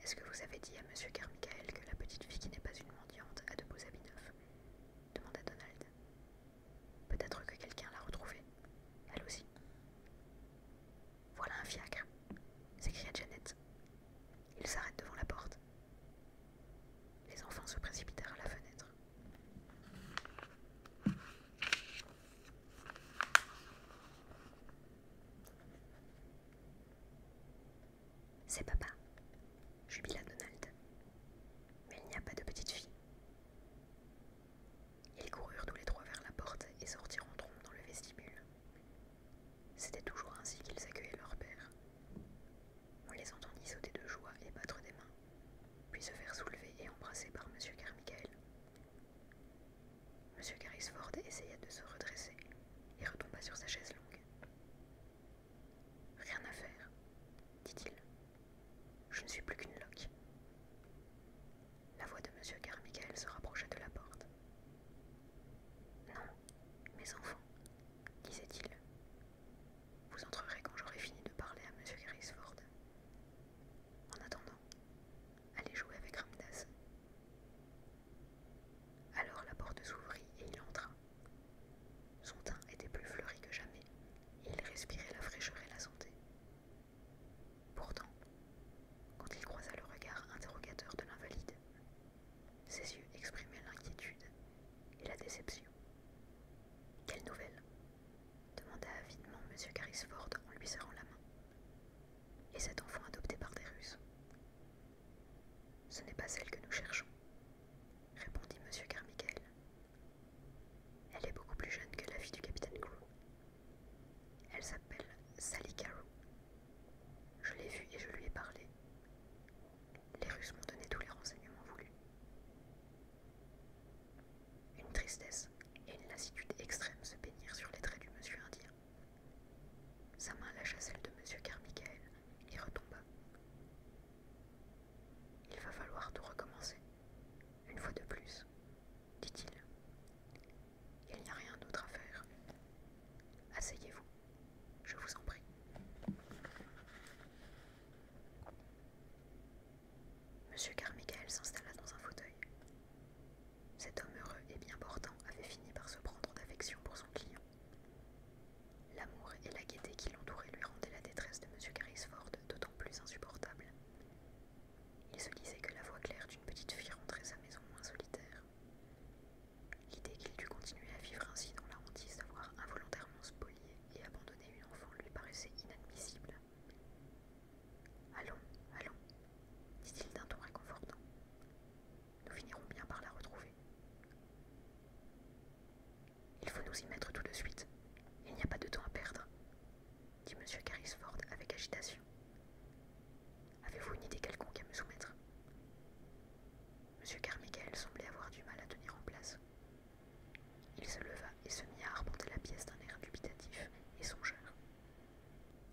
Est-ce que vous avez dit à M. Carmichael que la petite fille qui n'est pas une mendiante a de beaux habits neufs demanda Donald. Peut-être que quelqu'un l'a retrouvée, elle aussi. Voilà un fiacre, s'écria Janet. Il s'arrête devant la porte. Les enfants se précipitèrent à la fenêtre. C'est papa, jubila Donald. Mais il n'y a pas de petite fille. Ils coururent tous les trois vers la porte et sortirent en trompe dans le vestibule. C'était toujours ainsi qu'ils accueillaient leur père. On les entendit sauter de joie et battre des mains, puis se faire soulever et embrasser par M. Carmichael. M. Carrisford essaya de se redresser et retomba sur sa chaise longue. Rien à faire, dit-il. Je ne suis plus qu'une loque. La voix de M. Carmichael se rapprocha de la porte. Non, mes enfants, disait-il. Vous entrerez quand j'aurai fini de parler à M. Carrisford. En attendant, allez jouer avec Ramdas alors la porte s'ouvrit et il entra. Son teint était plus fleuri que jamais, et il respirait la fraîcheur et la santé. Pourtant, quand il croisa le regard interrogateur de l'invalide, ses yeux exprimaient l'inquiétude et la déception. Quelle nouvelle demanda avidement M. Carisford en lui serrant la main. Et cet enfant adopté par des Russes ce n'est pas celle que nous cherchons, répondit M. Carmichael. Elle est beaucoup plus jeune que la fille du capitaine Crew. Elle s'appelle Sally Carew. Je l'ai vue et je lui ai parlé. Les Russes m'ont donné tous les renseignements voulus. Une tristesse et une lassitude extrêmes se peignirent sur les traits du monsieur indien. Sa main lâcha celle de M. Carmichael et retomba. Il va falloir tout recommencer, une fois de plus, dit-il. Il n'y a rien d'autre à faire. Asseyez-vous, je vous en prie. Monsieur Carmichael s'installa dans un fauteuil. Cet homme heureux et bien portant avait fini par se prendre d'affection pour son client. L'amour et la gaieté qui l'entouraient lui rendaient la détresse de M. Carrisford d'autant plus insupportable. Il se disait que la voix claire d'une petite fille rentrait sa maison moins solitaire. L'idée qu'il dût continuer à vivre ainsi dans la hantise d'avoir involontairement spolié et abandonné une enfant lui paraissait inadmissible. Allons, allons, dit-il d'un ton réconfortant nous finirons bien par la retrouver. Il faut nous y mettre tout de suite. Il n'y a pas de temps à perdre, dit M. Carisford avec agitation. Avez-vous une idée quelconque à me soumettre M. Carmichael semblait avoir du mal à tenir en place. Il se leva et se mit à arpenter la pièce d'un air dubitatif et songeur.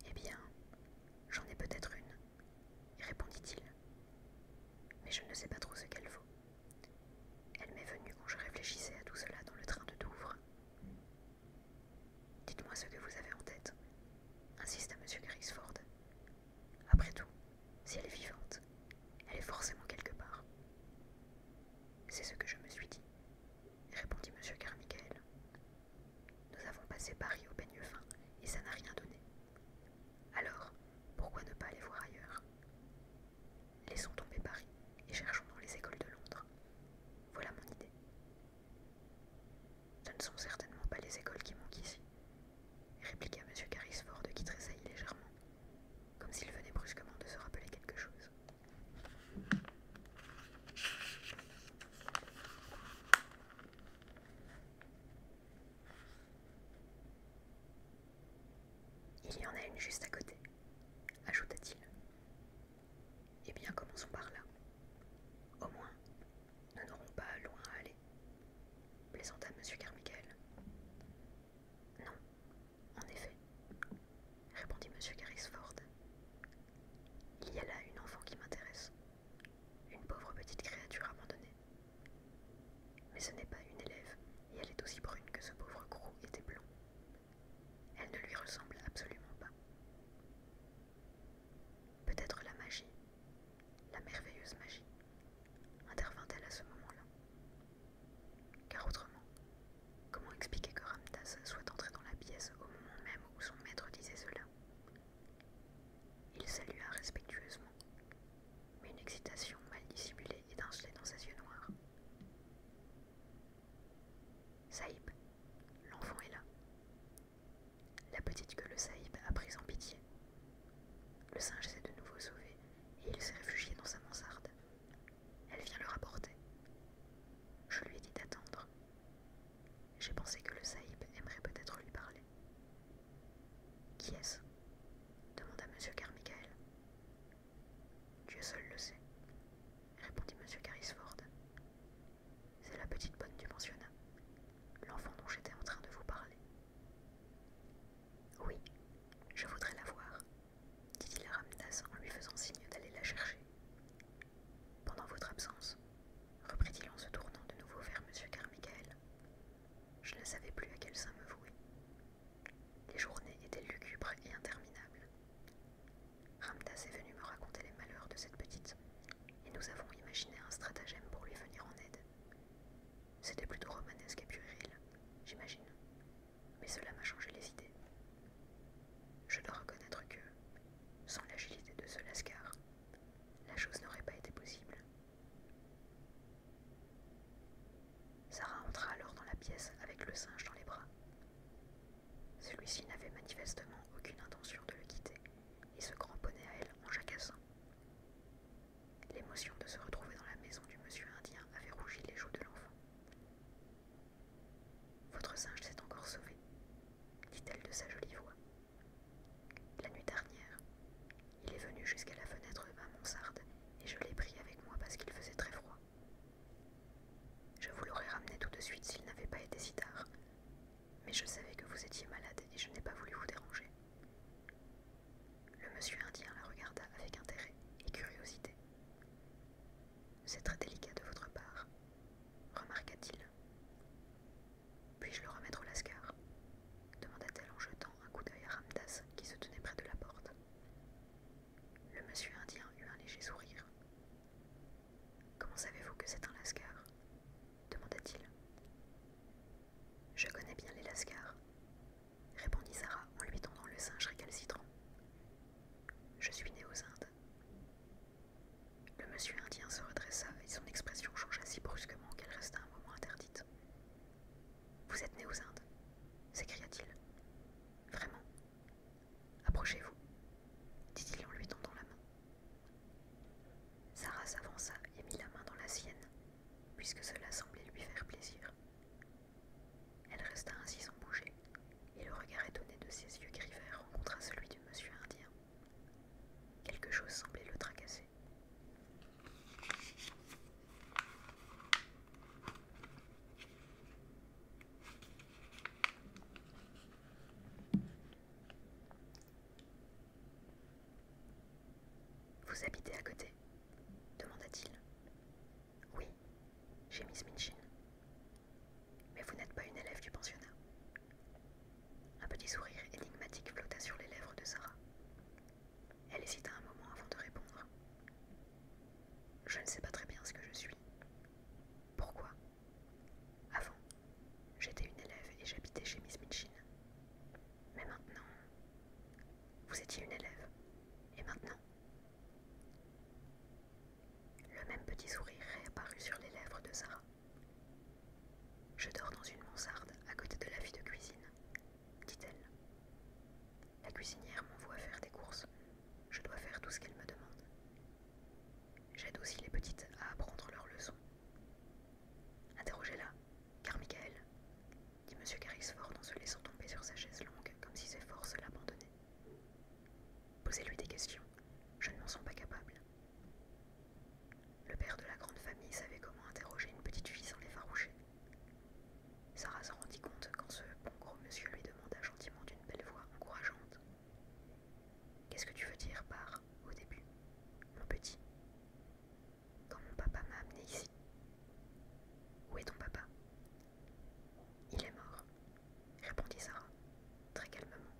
Eh bien, j'en ai peut-être une, répondit-il mais je ne sais pas trop ce qu'elle vaut. Elle m'est venue quand je réfléchissais à tout cela dans le train de Douvres. Dites-moi ce que vous avez en tête, insista M. Grisford. Après tout, si elle est vivante, elle est forcément quelque part. C'est ce que je me suis dit, répondit M. Carmichael. Nous avons passé Paris au peigne fin et ça n'a rien donné. Alors, pourquoi ne pas aller voir ailleurs Laissons tomber Paris et cherchons dans les écoles de Londres. Voilà mon idée. Ce ne sont certainement pas les écoles qui manquent ici, répliqua M. Carisford qui tressaillit légèrement, comme s'il venait brusquement de se rappeler quelque chose. Il y en a une juste à côté, ajouta-t-il. Eh bien, commençons par là. Au moins, nous n'aurons pas loin à aller, plaisanta M. Carmichael. Non, en effet, répondit M. Carrisford. Il y a là une enfant qui m'intéresse. Une pauvre petite créature abandonnée. Mais ce n'est pas une élève, et elle est aussi brune que ce pauvre Gros était blond. Elle ne lui ressemble absolument pas. Peut-être la magie, la merveilleuse magie, intervint-elle à ce moment-là. Car autrement, comment expliquer que Ramtas soit entré dans la pièce au moment même où son maître disait cela il salua respectueusement, mais une excitation mal dissimulée étincelait dans ses yeux noirs. Saïb, l'enfant est là. La petite que le Saïb a pris en pitié. Le singe s'est de nouveau sauvé et il s'est réfugié dans sa mansarde. Elle vient le rapporter. Je lui ai dit d'attendre, j'ai pensé que le Sahib aimerait peut-être lui parler. Qui est-ce demanda M. Carmichael. Dieu seul le sait, répondit M. Carisford. « C'est la petite bonne du pensionnat, l'enfant dont j'étais en train de vous parler. Oui, je voudrais la voir, dit-il à Ramdas en lui faisant signe d'aller la chercher. Pendant votre absence, reprit-il en se tournant de nouveau vers M. Carmichael. Je ne savais plus à quel saint me vouer. Les journées étaient lugubres et interminables. Ramdas est venu me raconter les malheurs de cette petite, et nous avons imaginé un stratagème pour lui venir en aide. C'était plutôt romanesque et puéril, j'imagine, mais cela m'a changé les idées. Je dois reconnaître que, sans l'agilité de ce lascar, la chose n'aurait pas été possible. Sarah entra alors dans la pièce avec le singe dans les bras. Celui-ci n'avait manifestement aucune intention de le quitter et se cramponnait à elle en jacassant. L'émotion de se retrouver dans la maison du monsieur indien avait rougi les joues de l'enfant. Votre singe s'est encore sauvé, dit-elle de sa jolie voix. La nuit dernière, il est venu jusqu'à la fenêtre de ma mansarde et je l'ai pris avec moi parce qu'il faisait très froid. Je vous l'aurais ramené tout de suite s'il n'avait pas été si tard, mais je savais que vous étiez malade et je n'ai pas voulu vous déranger. Le monsieur indien la regarda avec intérêt et curiosité. C'est très délicat de votre part, remarqua-t-il. Puis-je le remettre au lascar demanda-t-elle en jetant un coup d'œil à Ramdas qui se tenait près de la porte. Le monsieur indien eut un léger sourire. Comment savez-vous que c'est un lascar demanda-t-il. Je connais bien les lascars, répondit Sarah en lui tendant le singe récalcitrant. Je suis née aux Indes. Le monsieur indien se redressa et son expression changea si brusquement qu'elle resta interdite. Vous êtes né aux Indes s'écria-t-il. Vraiment Approchez-vous, dit-il en lui tendant la main. Sarah s'avança et mit la main dans la sienne, puisque cela semblait lui faire plaisir. Elle resta ainsi sans bouger, et le regard étonné de ses yeux gris rencontra celui du monsieur indien. Quelque chose semblait le tracasser. Vous habitez à côté demanda-t-il. Oui, j'ai Miss Minchin. Mais vous n'êtes pas une élève du pensionnat, un petit sourire énigmatique flotta sur les lèvres de Sarah. Elle hésita un moment avant de répondre. Je ne sais pas très bien ce que je suis. Pourquoi Avant, j'étais une élève et j'habitais chez Miss Mitchin. Mais maintenant, vous étiez une élève. Et maintenant Le même petit sourire réapparut sur les lèvres de Sarah. Je dors dans une mansarde à côté de la fille de cuisine, dit-elle. La cuisinière m'envoie faire des courses. Je dois faire tout ce qu'elle me demande. J'aide aussi les petites à apprendre leurs leçons. Interrogez-la, car Michael, dit M. Carrisford en se laissant tomber sur sa chaise longue comme si ses forces l'abandonnaient. Posez-lui des questions, je ne m'en sens pas capable. Le père de la grande famille savait comment interroger une petite fille sans l'effaroucher. Sarah s'en rendit compte quand ce bon gros monsieur lui demanda gentiment d'une belle voix encourageante Qu'est-ce que tu veux dire par, au début, mon petit Quand mon papa m'a amené ici. Où est ton papa Il est mort, répondit Sarah, très calmement.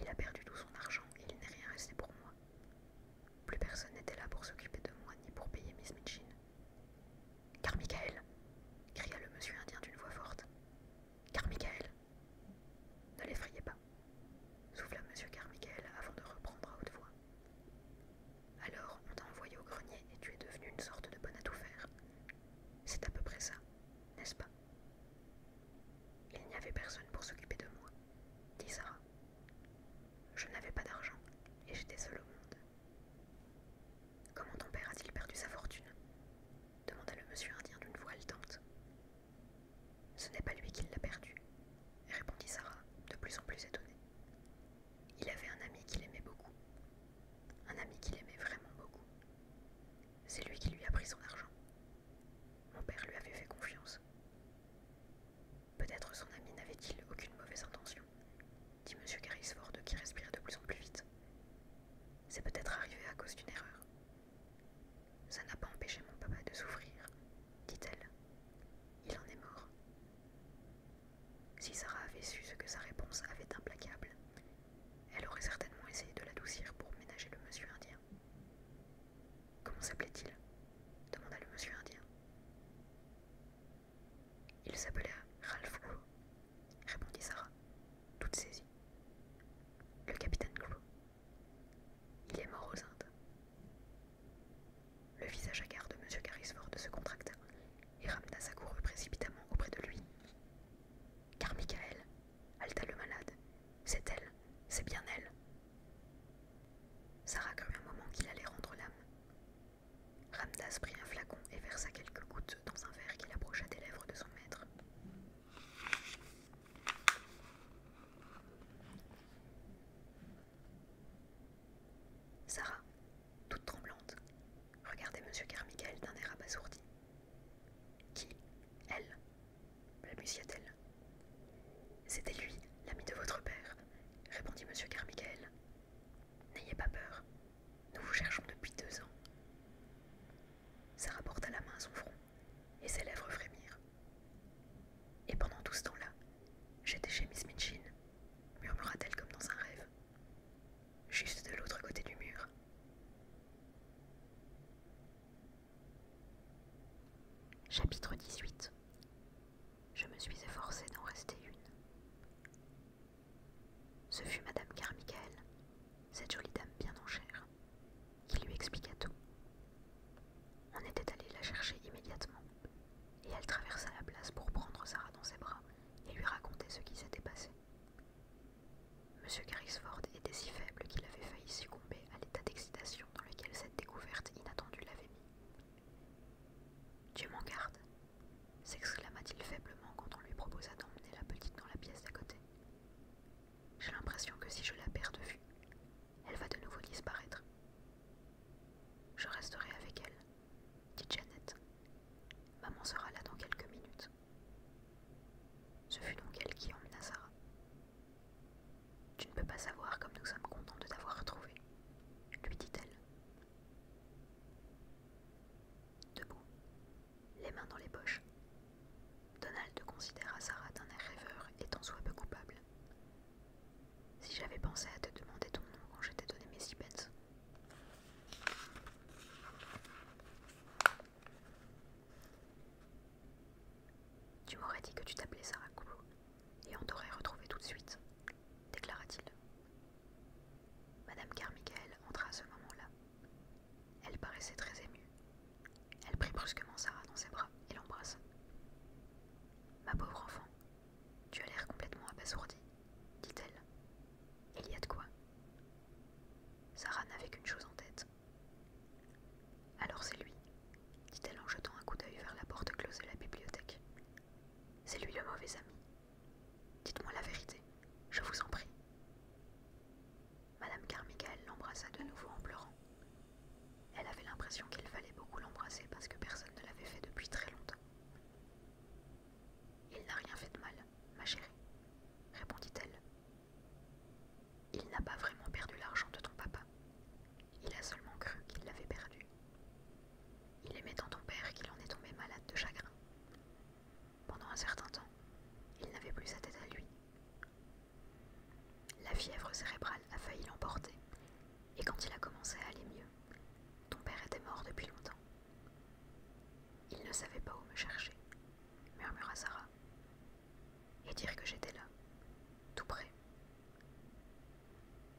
Il a perdu tout son argent et il n'est rien resté pour moi. Plus personne n'était là pour s'occuper de moi ni pour payer Miss Mitchin. Carmichael !» cria le monsieur indien d'une voix forte. Carmichael !»« Ne l'effrayez pas, souffla monsieur Carmichael avant de reprendre à haute voix. Alors on t'a envoyé au grenier et tu es devenu une sorte de bonne à tout faire. C'est à peu près ça, n'est-ce pas il n'y avait personne pour s'occuper de moi, dit Sarah. Je n'avais pas d'argent et j'étais seule au monde. Comment ton père a-t-il perdu sa fortune demanda le monsieur indien d'une voix haletante. Ce n'est pas lui qui l'a perdue, répondit Sarah, de plus en plus étonnée. Il avait un ami qu'il aimait beaucoup, un ami qui l'aimait vraiment beaucoup. C'est lui qui lui a pris son argent mon père lui avait fait confiance. Peut-être son ami n'avait-il aucune mauvaise intention, dit M. Carrisford qui respirait de plus en plus vite. C'est peut-être arrivé à cause d'une erreur. Ça n'a pas empêché mon papa de souffrir, dit-elle. Il en est mort. Si Sarah avait su ce que sa réponse avait implacable, elle aurait certainement essayé de l'adoucir pour ménager le monsieur indien. Comment s'appelait-il demanda le monsieur indien. Il s'appelait Ralph Gros, répondit Sarah, toute saisie. Le capitaine Gros. Il est mort aux Indes. Le visage hagard de monsieur Carrisford se contracta et ramena sa courue précipitamment auprès de lui. Car Michael, halta le malade, c'est elle, c'est bien elle, Sarah crut un moment qu'il allait rendre l'âme. Ramdas prit un flacon et versa quelques gouttes dans un verre qu'il approcha des lèvres de son maître. Sarah, toute tremblante, regardait M. Carmichael d'un air abasourdi, qui, elle, balbutia-t-elle. C'était lui, l'ami de votre père, répondit M. Carmichael. N'ayez pas peur, nous vous cherchons depuis deux ans. Sarah porta la main à son front et ses lèvres frémirent. Et pendant tout ce temps-là, j'étais chez Miss Mitchin, murmura-t-elle comme dans un rêve. Juste de l'autre côté du mur. Chapitre 18 Je me suis efforcée d'en rester une. Ce fut Madame Carmichael, cette jolie dame bien en chair, qui lui expliqua tout. On était allé la chercher immédiatement, et elle traversa la place pour prendre Sarah dans ses bras et lui raconter ce qui s'était passé. Monsieur Carrisford était si faible qu'il avait failli succomber à l'état d'excitation dans lequel cette découverte inattendue l'avait mis. Dieu m'en garde s'exclama-t-il faiblement quand on lui proposa d'emmener la petite dans la pièce d'à côté. J'ai l'impression que si je la perds de vue, elle va de nouveau disparaître. Je resterai avec elle, dit Janet. Maman sera là dans quelques minutes. Ce fut donc elle qui emmena Sarah, tu ne peux pas savoir comme nous sommes contents de t'avoir retrouvé, lui dit-elle. Debout, les mains dans les poches, Donald considéra Sarah d'un air rêveur et t'en soit peu coupable. Si j'avais pensé à te demander ton nom quand je t'ai donné mes six Tu m'aurais dit que tu t'appelais Sarah Koulou et on t'aurait retrouvée tout de suite, déclara-t-il. Madame Carmichael entra à ce moment-là. Elle paraissait très émue. Elle prit brusquement Sarah dans ses bras et l'embrassa. Ma pauvre enfant, tu as l'air complètement abasourdie, dit-elle. Il y a de quoi. Sarah n'avait qu'une chose en tête. Alors c'est lui, dit-elle en jetant un coup d'œil vers la porte close de la bibliothèque. C'est lui le mauvais ami. Dites-moi la vérité, je vous en prie. Madame Carmichael l'embrassa de nouveau en pleurant. Elle avait l'impression qu'il fallait beaucoup l'embrasser parce que personne ne l'avait fait depuis très longtemps. Il n'a rien fait de mal, ma chérie, répondit-elle. Il n'a pas vraiment perdu l'argent de ton papa. Il a seulement cru qu'il l'avait perdu. Il aimait tant ton père qu'il en est tombé malade de chagrin. Pendant un certain temps, il n'avait plus sa tête à lui. La fièvre cérébrale a failli l'emporter, et quand il a commencé à aller mieux, ton père était mort depuis longtemps. Il ne savait pas où me chercher, murmura Sarah, et dire que j'étais là, tout près.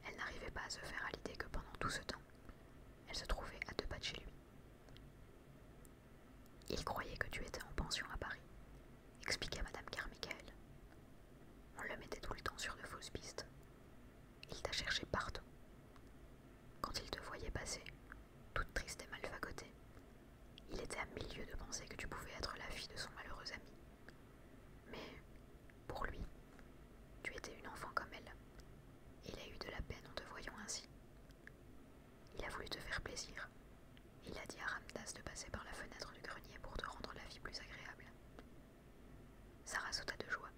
Elle n'arrivait pas à se faire à l'idée que pendant tout ce temps, elle se trouvait à deux pas de chez lui. Il croyait que tu étais en pension à Paris, expliqua Madame Carmichael. On le mettait tout le temps sur de fausses pistes. Il t'a cherché partout. Quand il te voyait passer, toute triste et mal il était à mille de penser que tu pouvais être la fille de son malheureux ami. Mais pour lui, tu étais une enfant comme elle. Il a eu de la peine en te voyant ainsi. Il a voulu te faire plaisir. Il a dit à Ramdas de passer par la fenêtre du grenier pour te rendre la vie plus agréable. Sarah sauta de joie.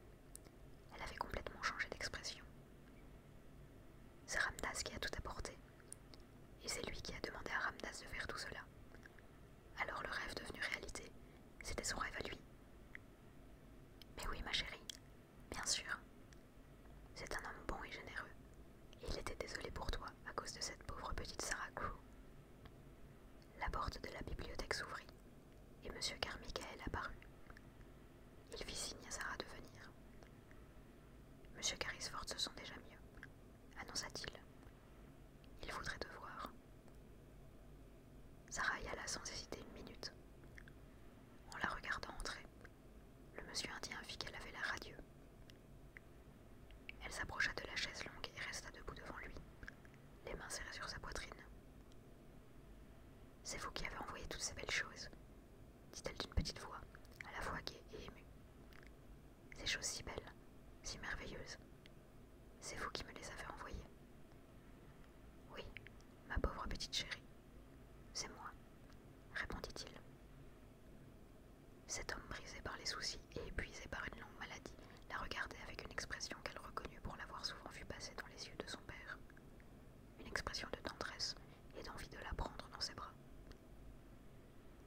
Elle avait complètement changé d'expression. C'est Ramdas qui a tout apporté. Et c'est lui qui a demandé à Ramdas de faire tout cela. Alors le rêve devenu réalité, c'était son rêve à lui. Mais oui, ma chérie, bien sûr. C'est un homme bon et généreux. il était désolé pour toi à cause de cette pauvre petite Sarah Crew. La porte de la bibliothèque s'ouvrit et M. Carmichael apparut. Il fit signe à Sarah de venir. Monsieur carisfort se sent déjà mieux, annonça-t-il, il voudrait te voir. Sarah y alla sans hésiter une minute. En la regardant entrer, le monsieur indien fit qu'elle avait l'air radieux. Elle s'approcha de la chaise longue et resta debout devant lui, les mains serrées sur sa poitrine. C'est vous qui avez envoyé toutes ces belles choses, dit-elle d'une petite voix, à la fois gaie et émue. Ces choses si belles, si merveilleuses, c'est vous qui me les avez envoyés. Oui, ma pauvre petite chérie. C'est moi, répondit-il. Cet homme brisé par les soucis et épuisé par une longue maladie la regardait avec une expression qu'elle reconnut pour l'avoir souvent vue passer dans les yeux de son père. Une expression de tendresse et d'envie de la prendre dans ses bras.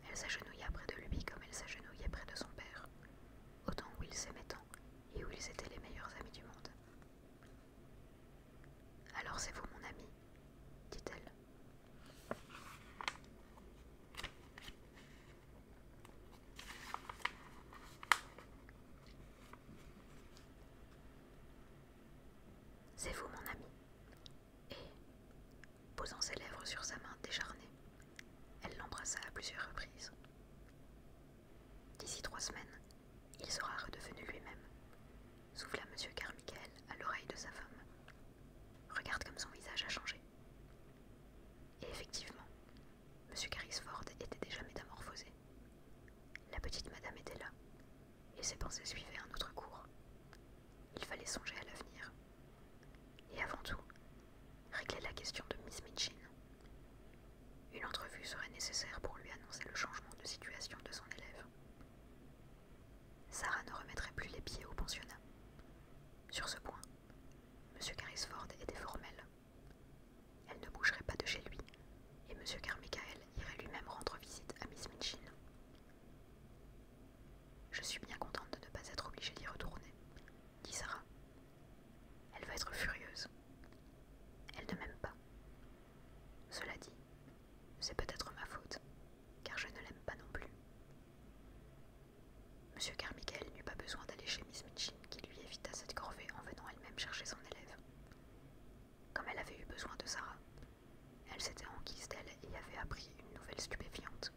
Elle s'agenouilla près de lui comme elle s'agenouillait près de son père, autant où ils s'aimaient tant et où ils étaient les meilleurs amis du monde. Alors c'est vous mon ami, dit-elle. C'est vous mon ami. Et posant ses lèvres sur sa main décharnée. Elle l'embrassa à plusieurs reprises. D'ici trois semaines, il sera redevenu lui-même, souffla M. Carmichael à l'oreille de sa femme. Regarde comme son visage a changé. Et effectivement, M. Carrisford était déjà métamorphosé. La petite madame était là, et ses pensées suivaient un autre cours. Il fallait songer à l'avenir. Et avant tout, régler la question de Miss Mitchin. Une entrevue serait nécessaire pour lui annoncer le changement de situation de son élève. Sarah ne remettrait plus les pieds au pensionnat. Sur ce point, M. Carrisford était formel. Elle ne bougerait pas de chez lui, et M. Carmichael irait lui-même rendre visite à Miss Mitchin. Je suis bien contente de ne pas être obligée d'y retourner, dit Sarah. Elle va être furieuse. Elle ne m'aime pas. Cela dit, c'est peut-être ma faute, car je ne l'aime pas non plus. Monsieur Carmichael n'eut pas besoin d'aller chez Miss Mitchin, qui lui évita cette corvée en venant elle-même chercher son élève. Comme elle avait eu besoin de Sarah, elle s'était enquise d'elle et avait appris une nouvelle stupéfiante.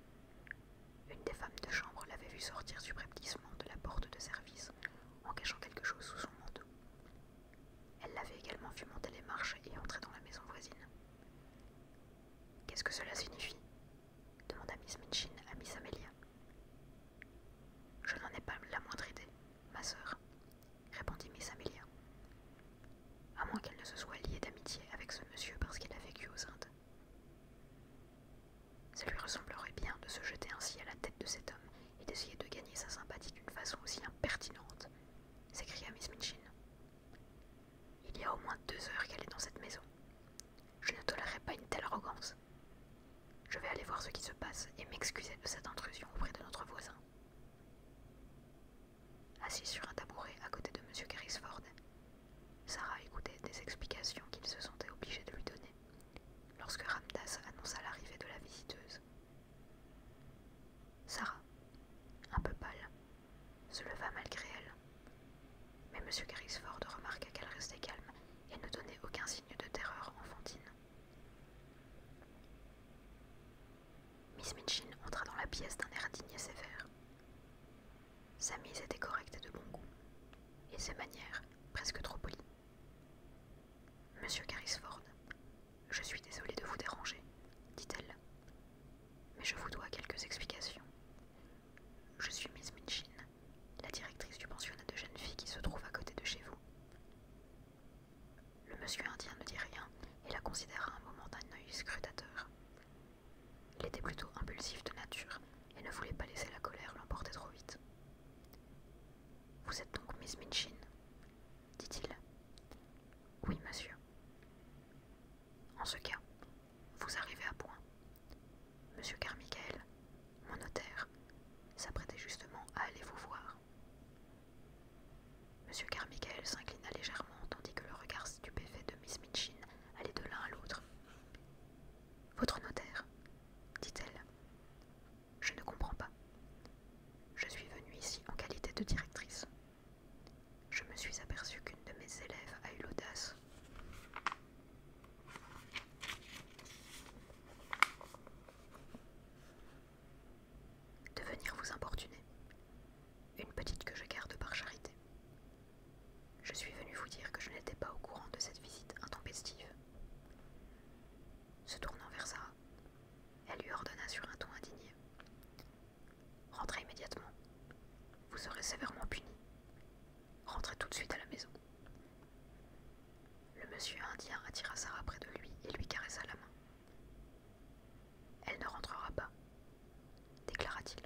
Une des femmes de chambre l'avait vu sortir subrepticement de la porte de service en cachant quelque chose sous son manteau. Elle l'avait également vu monter les marches et entrer dans la maison voisine. Qu'est-ce que cela signifie demanda Miss Minchin à Miss Amelia. Je n'en ai pas la moindre idée, ma sœur, répondit Miss Amelia. À moins qu'elle ne se soit liée d'amitié avec ce monsieur parce qu'il a vécu aux Indes. Ça lui ressemblerait bien de se jeter ainsi à la tête de cet homme et d'essayer de gagner sa sympathie d'une façon aussi impertinente, s'écria Miss Minchin. Il y a au moins deux heures qu'elle est dans cette maison. Je ne tolérerai pas une telle arrogance. Je vais aller voir ce qui se passe et m'excuser de cette intrusion auprès de notre voisin. Assis sur un tabouret à côté de M. Sarah écoutait des explications qu'il se sentait obligé de lui donner, lorsque Ramdas annonça l'arrivée de la visiteuse. Sarah, un peu pâle, se leva malgré elle, mais M. Grisford remarqua qu'elle restait calme et ne donnait aucun signe de terreur enfantine. Miss Minchin entra dans la pièce d'un air digne et sévère. Sa mise était correcte et de bon goût, et ses manières presque trop polies. Monsieur Carisford, je suis désolée de vous déranger, dit-elle, mais je vous dois quelques explications. Je suis Miss Minchin, la directrice du pensionnat de jeunes filles qui se trouve à côté de chez vous. Le monsieur indien ne dit rien et la considère un moment d'un œil scrutateur. Il était plutôt impulsif de nature et ne voulait pas laisser la colère l'emporter trop vite. Vous êtes donc Miss Minchin dit-il. Oui, monsieur. En ce cas, vous arrivez à point. Monsieur Carmichael, mon notaire, s'apprêtait justement à aller vous voir. Monsieur Carmichael s'inclina légèrement tandis que le regard stupéfait de Miss Minchin allait de l'un à l'autre. Votre notaire, dit-elle. Je ne comprends pas. Je suis venue ici en qualité de directrice. Je me suis aperçue qu'une de mes élèves a eu l'audace de venir vous importuner. Une petite que je garde par charité. Je suis venu vous dire que je n'étais pas au courant de cette visite intempestive. Se tournant vers Sarah, elle lui ordonna sur un ton indigné. Rentrez immédiatement. Vous serez sévèrement puni. Rentrez tout de suite à la maison. Le monsieur indien attira Sarah près de lui et lui caressa la main. Elle ne rentrera pas, déclara-t-il.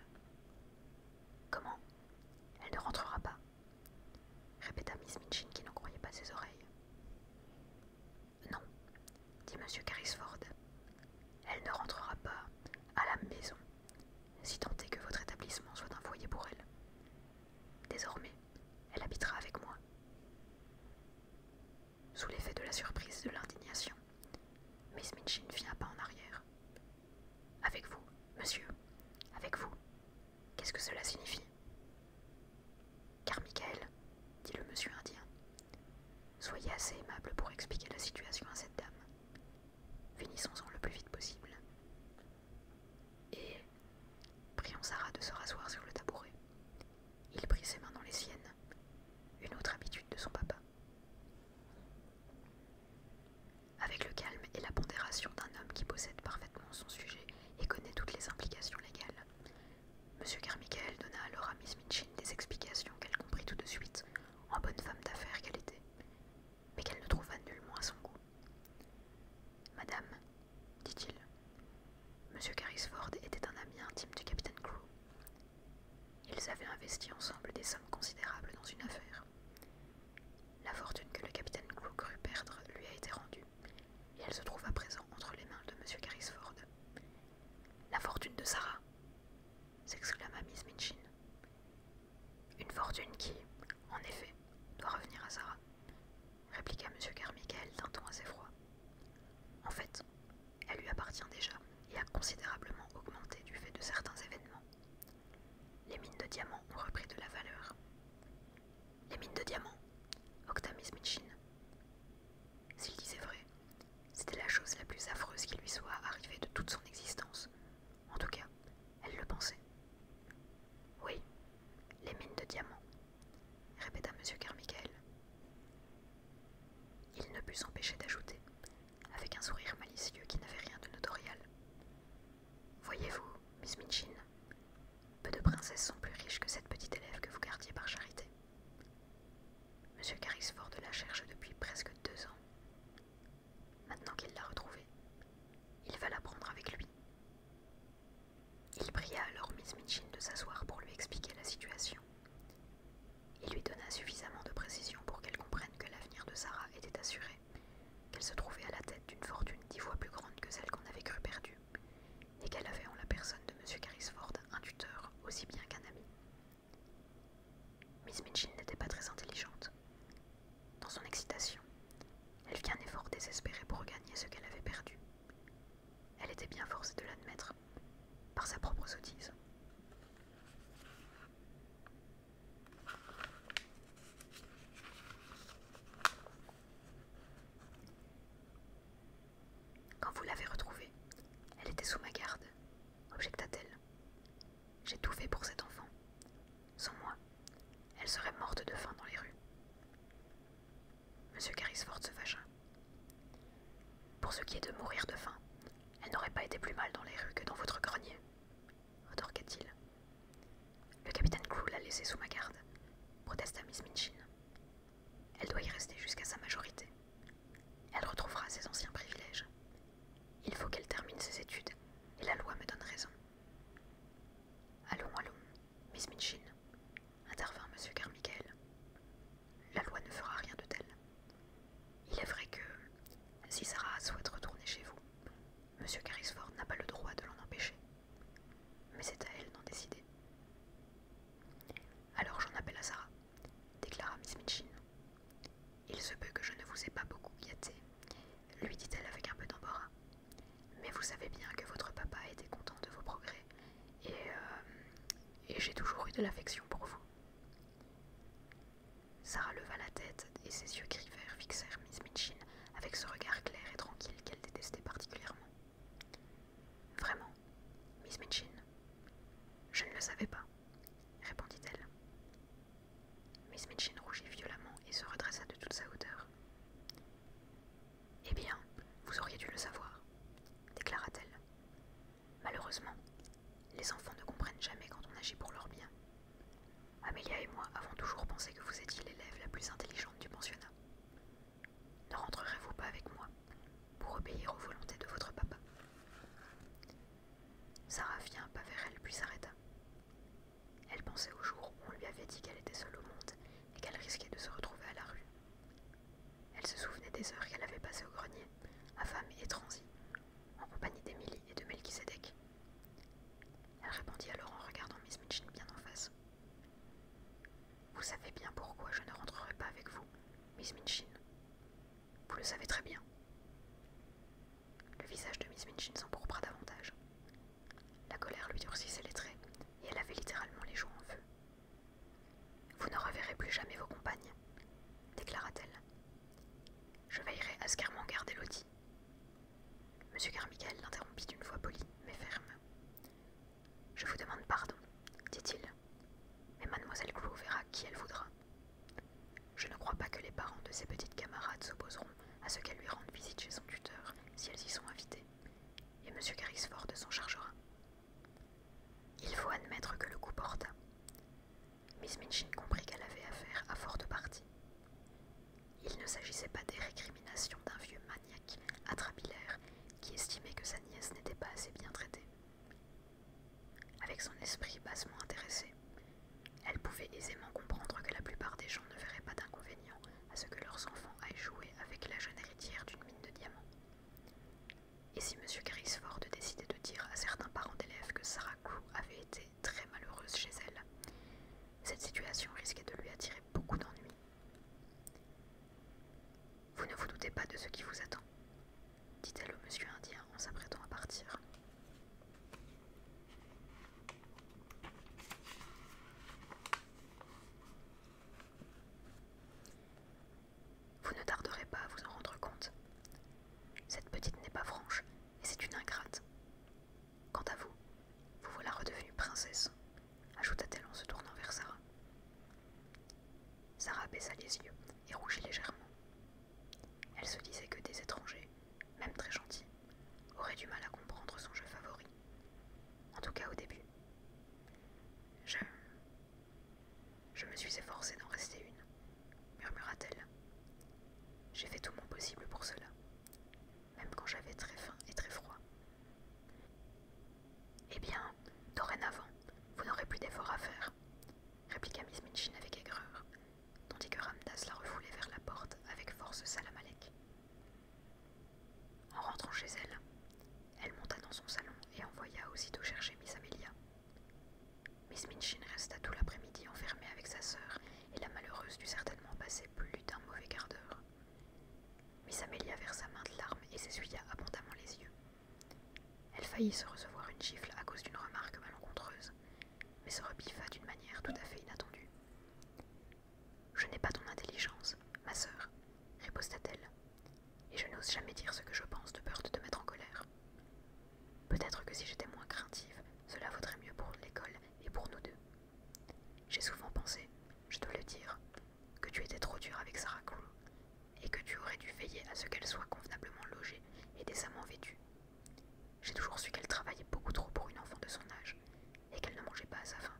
Comment Elle ne rentrera pas répéta Miss Minchin qui n'en croyait pas ses oreilles. Non, dit M. Carrisford, elle ne rentrera pas à la maison, si tant est que votre établissement soit un foyer pour elle. Désormais, elle habitera avec moi. Sous l'effet de la surprise et de l'indignation, Miss Minchin fit un pas en arrière, avec vous, monsieur, avec vous. Qu'est-ce que cela signifie Car Michael, dit le monsieur indien, soyez assez aimable pour expliquer la situation à cette dame. Finissons-en le plus vite possible. Et priant Sarah de se rasseoir sur le tabouret. Il prit ses mains dans les siennes, une autre habitude de son papa. Avec le calme et la pondération d'un homme qui possède parfaitement son sujet et connaît toutes les implications légales, M. Carmichael donna alors à Miss mitchin des explications qu'elle comprit tout de suite, en bonne femme d'affaires qu'elle était, mais qu'elle ne trouva nullement à son goût. Madame, dit-il, M. Carisford était un ami intime du capitaine Crew. Ils avaient investi ensemble des sommes considérables dans une affaire. La fortune que le capitaine Clou crut perdre lui a été rendue, et elle se trouve à présent entre les mains de M. Carrisford. La fortune de Sarah s'exclama Miss Minchin. Une fortune qui, en effet, doit revenir à Sarah, répliqua M. Carmichael d'un ton assez froid. En fait, elle lui appartient déjà et a considérablement augmenté du fait de certains événements. Les mines de diamants ont repris de la valeur. Les mines de diamants Octamis Mitchin. S'il disait vrai, c'était la chose la plus affreuse qui lui soit arrivée de toute son existence. En tout cas, elle le pensait. Oui, les mines de diamants, répéta M. Carmichael. Il ne put s'empêcher d'ajouter, avec un sourire malicieux qui n'avait rien de notorial. Voyez-vous, Miss Minchin, peu de princesses sont plus riches que cette petite élève que vous gardiez par charité. Monsieur Carisford la cherche depuis presque deux ans. Maintenant qu'il l'a retrouvée, il va la prendre avec lui. Il pria alors Miss Minchin de s'asseoir pour lui expliquer la situation. Il lui donna suffisamment de précisions pour qu'elle comprenne que l'avenir de Sarah était assuré qu'elle se trouvait à la tête d'une fortune dix fois plus grande que celle qu'on avait cru perdue, et qu'elle avait en la personne de M. Carisford un tuteur aussi bien qu'un ami. Miss Mitchin n'était pas très intelligente. Dans son excitation, elle fit un effort désespéré pour regagner ce qu'elle avait perdu. Elle était bien forcée de l'admettre, par sa propre sottise. Quand vous l'avez retrouvée, elle était sous ma garde, objecta-t-elle. J'ai tout fait pour cet enfant. Sans moi, elle serait morte de faim dans les rues. Monsieur Carisford se fâcha. Pour ce qui est de mourir de faim, elle n'aurait pas été plus mal dans les rues que dans votre grenier retorqua t il Le capitaine Crew l'a laissé sous ma garde, protesta Miss Minchin. Elle doit y rester jusqu'à sa majorité. Elle retrouvera ses anciens privilèges. Il faut qu'elle termine ses études, et la loi me donne raison. Allons, allons, Miss Minchin, intervint M. Carmichael. La loi ne fera rien de tel. Il est vrai que, si Sarah souhaite retourner chez vous, Monsieur Carisford n'a pas le droit de l'en empêcher. Mais c'est à elle d'en décider. Alors j'en appelle à Sarah, déclara Miss Mitchin. « Il se peut que je ne vous ai pas beaucoup gâté, lui dit-elle avec un peu d'embarras. Mais vous savez bien que votre papa était content de vos progrès, et euh, j'ai toujours eu de l'affection pour vous. Sarah leva la tête et ses yeux gris fixèrent Miss Mitchin avec ce regard clair et tranquille qu'elle détestait particulièrement. Vraiment, Miss Mitchin Je ne le savais pas, répondit-elle. Miss Mitchin rougit violemment et se redressa de toute sa hauteur. Eh bien, vous auriez dû le savoir, déclara-t-elle. Malheureusement, les enfants ne comprennent jamais quand on agit pour leur bien. Amélia et moi avons toujours pensé que vous étiez l'élève la plus intelligente du pensionnat. Ne rentrerez-vous pas avec moi pour obéir aux volontés de votre papa Sarah fit un pas vers elle puis s'arrêta. Elle pensait au jour où on lui avait dit qu'elle était seule au monde et qu'elle risquait de se retrouver à la rue. Elle se souvenait des heures qu'elle avait passées au grenier, à et transie, en compagnie d'Émilie et de Melchisedec. Elle répondit alors en regardant Miss Minchin bien en face. Vous savez bien pourquoi je ne rentrerai pas avec vous, Miss Minchin. Vous le savez très bien. Le visage de Miss Minchin s'empourpra davantage. La colère lui durcissait les traits et elle avait littéralement les joues en feu. Vous ne reverrez plus jamais vos compagnes, déclara-t-elle. Je veillerai à ce m'en garde M. Monsieur Carmichael l'interrompit d'une voix polie mais ferme. Je vous demande pardon, dit-il, mais mademoiselle Clouvera verra qui elle voudra. Je ne crois pas que les parents de ses petites camarades s'opposeront à ce qu'elle lui rende visite chez son tuteur si elles y sont invitées, et M. Carrisford s'en chargera. Il faut admettre que le coup porte. Miss Minchin comprit qu'elle avait affaire à forte partie. Il ne s'agissait pas des récriminations d'un vieux maniaque atrapilaire qui estimait que sa nièce n'était pas assez bien traitée. Avec son esprit bassement intéressé, elle pouvait aisément comprendre que la plupart des gens ne verraient pas d'inconvénient à ce que leurs enfants aillent jouer avec la jeune héritière d'une mine de diamants. Et si M. Grisford décidait de dire à certains parents d'élèves que Sarah avait été très malheureuse chez elle. Cette situation risquait de lui attirer beaucoup d'ennuis. Vous ne vous doutez pas de ce qui vous attend, dit-elle au monsieur indien en s'apprêtant à partir. Vous ne tarderez pas à vous en rendre compte. Cette petite n'est pas franche et c'est une ingrate. Quant à vous, vous voilà redevenue princesse, ajouta-t-elle en se tournant vers Sarah. Sarah baissa les yeux et rougit légèrement. Elle se disait que des étrangers, même très gentils, auraient du mal à comprendre son jeu favori. En tout cas au début. Je. Je me suis efforcée d'en rester une, murmura-t-elle, j'ai fait tout mon possible pour cela, même quand j'avais très faim et très froid. Eh bien, dorénavant, vous n'aurez plus d'efforts à faire, répliqua Miss Minchin avec aigreur, tandis que Ramdas la refoulait vers la porte avec force Salamalek. En rentrant chez elle, elle monta dans son salon et envoya aussitôt chercher Miss Amelia. Miss Minchin resta tout l'après-midi enfermée avec sa sœur et la malheureuse dut certainement passer plus d'un mauvais quart d'heure. Miss Amelia versa de larmes et s'essuya abondamment les yeux. Elle faillit se recevoir une gifle à cause d'une remarque malencontreuse, mais se rebiffa d'une manière tout à fait inattendue. Je n'ai pas ton intelligence, ma sœur, riposta-t-elle, et je n'ose jamais dire ce que je pense de peur de te mettre en colère. Peut-être que si j'étais moins craintive, cela vaudrait mieux pour l'école et pour nous deux. J'ai souvent pensé, je dois le dire, que tu étais trop dur avec Sarah Crow et que tu aurais dû veiller à ce qu'elle soit convenablement logée et décemment vêtue. J'ai toujours su qu'elle travaillait beaucoup trop pour une enfant de son âge et qu'elle ne mangeait pas à sa faim.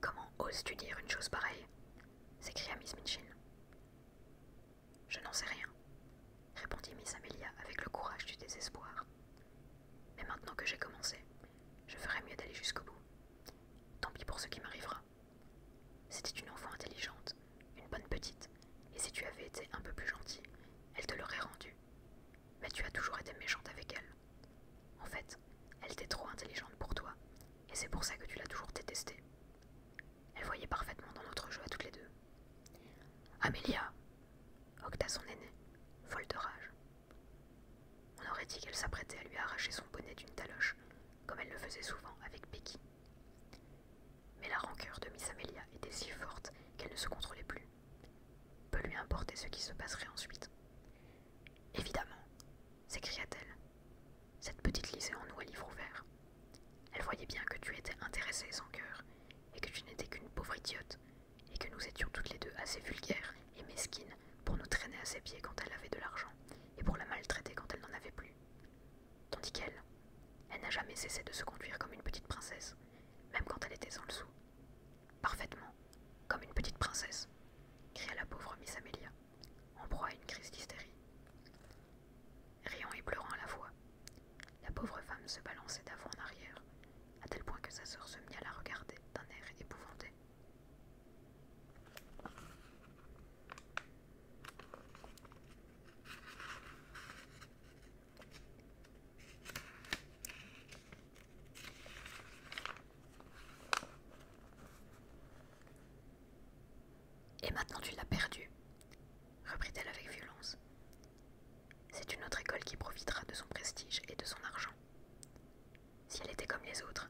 Comment oses-tu dire une chose pareille s'écria Miss Mitchell. Je n'en sais rien, répondit Miss Amelia avec le courage du désespoir. Mais maintenant que j'ai commencé, je ferais mieux d'aller jusqu'au bout. Tant pis pour ce qui m'arrivera. C'était une enfant intelligente, une bonne petite, et si tu avais été un peu plus gentil, elle te l'aurait rendue. Mais tu as toujours été méchante avec elle. En fait, elle était trop intelligente pour toi, et c'est pour ça que tu l'as toujours détestée. Elle voyait parfaitement dans notre jeu à toutes les deux. Amélia Octa son aîné, folle de rage. On aurait dit qu'elle s'apprêtait à lui arracher son bonnet d'une taloche, comme elle le faisait souvent avec Becky. Mais la rancœur de Miss Amélia était si forte qu'elle ne se contrôlait plus. Peut lui importait ce qui se passerait ensuite. Évidemment, s'écria-t-elle. Cette petite lisait en nous à livre ouvert. Elle voyait bien que tu étais intéressée sans cœur, et que tu n'étais qu'une pauvre idiote, et que nous étions toutes les deux assez vulgaires et mesquines pour nous traîner à ses pieds quand elle avait de l'argent, et pour la maltraiter quand elle n'en avait plus. Tandis qu'elle, elle n'a jamais cessé de se conduire comme une petite princesse, même quand elle était sans le sou. Parfaitement, comme une petite princesse, cria la pauvre Miss Amelia, en proie à une crise d'hystérie riant et pleurant à la fois. La pauvre femme se balançait d'avant en arrière, à tel point que sa sœur se mit à la regarder d'un air épouvanté. Et maintenant tu l'as perdue, reprit-elle avec violence. C'est une autre école qui profitera de son prestige et de son argent. Si elle était comme les autres,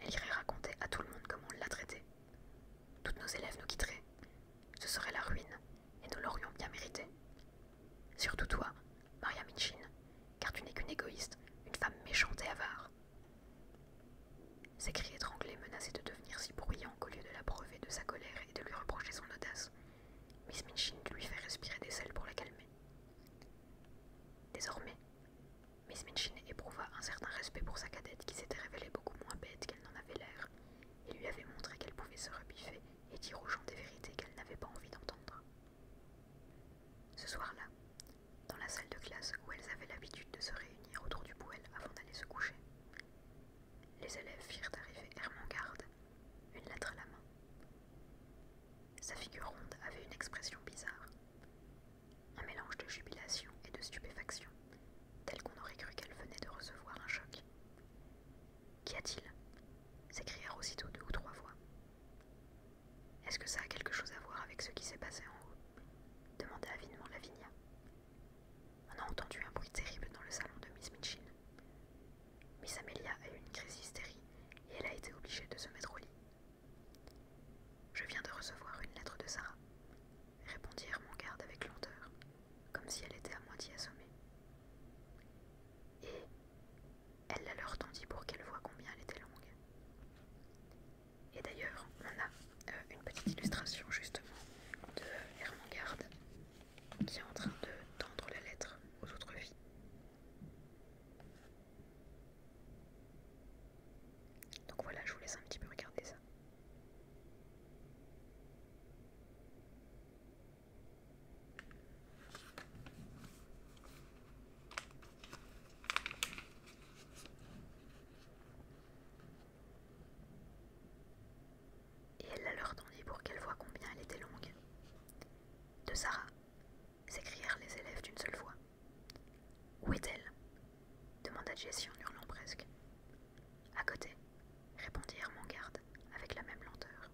elle irait raconter à tout le monde comment on l'a traitée. Toutes nos élèves nous quitteraient. Ce serait la ruine, et nous l'aurions bien mérité. »« Surtout toi, Maria Minchin, car tu n'es qu'une égoïste, une femme méchante et avare. Ses cris étranglés menaçaient de devenir si bruyants qu'au lieu de la et de sa colère et de lui reprocher son audace. Miss Minchin lui fait respirer des sels pour la calmer. Désormais, Miss Minchin éprouva un certain respect pour sa cadette qui s'était révélée beaucoup moins bête qu'elle n'en avait l'air et lui avait montré qu'elle pouvait se rebiffer et dire aux gens des vérités qu'elle n'avait pas envie d'entendre. Ce soir-là, dans la salle de classe où elles avaient l'habitude de se réunir autour du poêle avant d'aller se coucher, les élèves firent arriver Garde, une lettre à la main. Sa figure ronde avait une expression bizarre, un mélange de jubilation et de stupéfaction, tel qu'on aurait cru qu'elle venait de recevoir un choc. Qu'y a-t-il s'écrièrent aussitôt deux ou trois voix. Est-ce que ça a quelque chose à voir avec ce qui s'est passé en haut demanda avidement Lavinia. On a entendu un bruit terrible dans le salon de Miss Mitchin. Miss Amelia a eu une crise d'hystérie et elle a été obligée de se mettre au lit. Je viens de recevoir une lettre de Sarah, répondit Hermangarde avec lenteur, comme si elle était à moitié assommée. Et elle la leur tendit pour qu'elle voie combien elle était longue. Et d'ailleurs, on a euh, une petite illustration justement de Hermangarde qui en train de tendre la lettre aux autres filles. Donc voilà, je vous laisse un petit peu regarder ça. Et elle la leur tendit pour qu'elle voie combien elle était longue. De Sarah, s'écrièrent les élèves d'une seule voix. Où est-elle demanda Jessie en hurlant presque. À côté, répondit Hermangarde avec la même lenteur.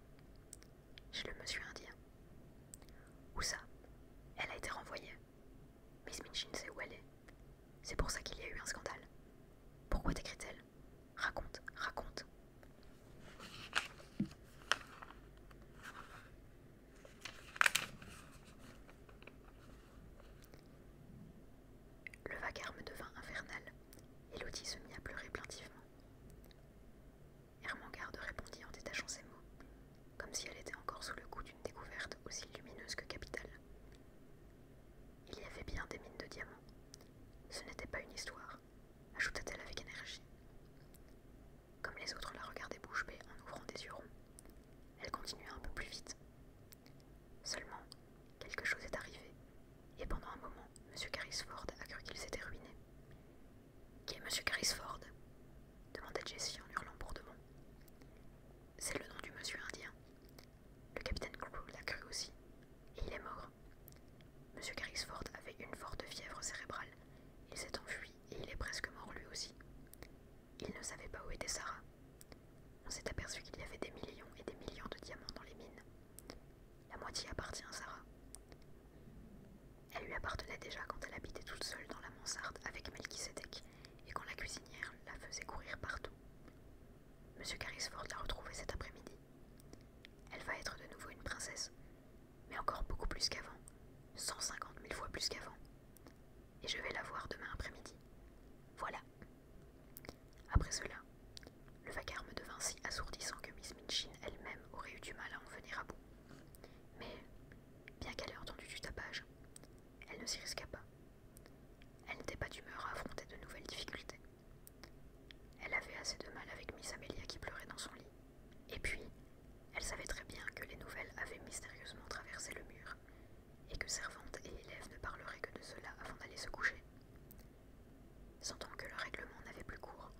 Chez le monsieur indien. Où ça Elle a été renvoyée. Miss Minchin sait où elle est. C'est pour ça qu'il y a eu un scandale. Pourquoi t'écrit-elle Raconte, raconte. Le vacarme devint infernal. et Elodie se mit à pleurer plaintivement. Hermengarde répondit en détachant ses mots, comme si elle était encore sous le coup d'une découverte aussi lumineuse que capitale. Il y avait bien des mines de diamants ce n'était pas une histoire, ajouta-t-elle avec énergie. Comme les autres la regardaient bouche bée en ouvrant des yeux ronds, elle continua un peu plus vite. Seulement, quelque chose est arrivé, et pendant un moment, M. Carrisford a cru qu'il s'était ruiné. Qui est M. Carrisford demanda Jessie en hurlant bourdement. C'est le nom du monsieur indien. Le capitaine Crow l'a cru aussi, et il est mort. Monsieur M. avait une forte fièvre cérébrale. Il s'est enfui et il est presque mort lui aussi. Il ne savait pas où était Sarah. On s'est aperçu qu'il y avait des millions et des millions de diamants dans les mines. La moitié appartient à Sarah. Elle lui appartenait déjà quand elle habitait toute seule dans la mansarde avec Melchisedec et quand la cuisinière la faisait courir partout. M. Carisford l'a retrouvée cet après-midi. Elle va être de nouveau une princesse, mais encore beaucoup plus qu'avant, cinquante mille fois plus qu'avant. Et je vais la voir demain après-midi. Voilà. Après cela, le vacarme devint si assourdissant que Miss Minchin elle-même aurait eu du mal à en venir à bout. Mais, bien qu'elle ait entendu du tapage, elle ne s'y risqua pas. Elle n'était pas d'humeur à affronter de nouvelles difficultés. Elle avait assez de mal avec Miss Amelia qui pleurait dans son lit. Et puis, elle savait très bien que les nouvelles avaient mystérieusement traversé le mur, et que servante et élèves ne parleraient que de cela avant d'aller se coucher. Sentant que le règlement n'avait plus cours,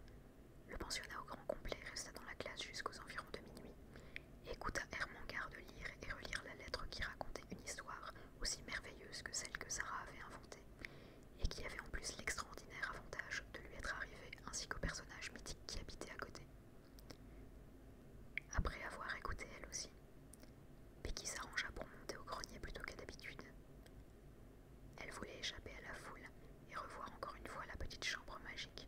le pensionnat au grand complet resta dans la classe jusqu'aux environs de minuit, et écouta garde lire et relire la lettre qui racontait une histoire aussi merveilleuse que celle que Sarah avait inventée, et qui avait en plus l'extraordinaire avantage de lui être arrivé ainsi qu'au personnage mythique qui habitait à côté. Après avoir écouté elle aussi, qui s'arrangea pour monter au grenier plutôt qu'à d'habitude. Elle voulait échapper à la foule et revoir encore une fois la petite chambre magique.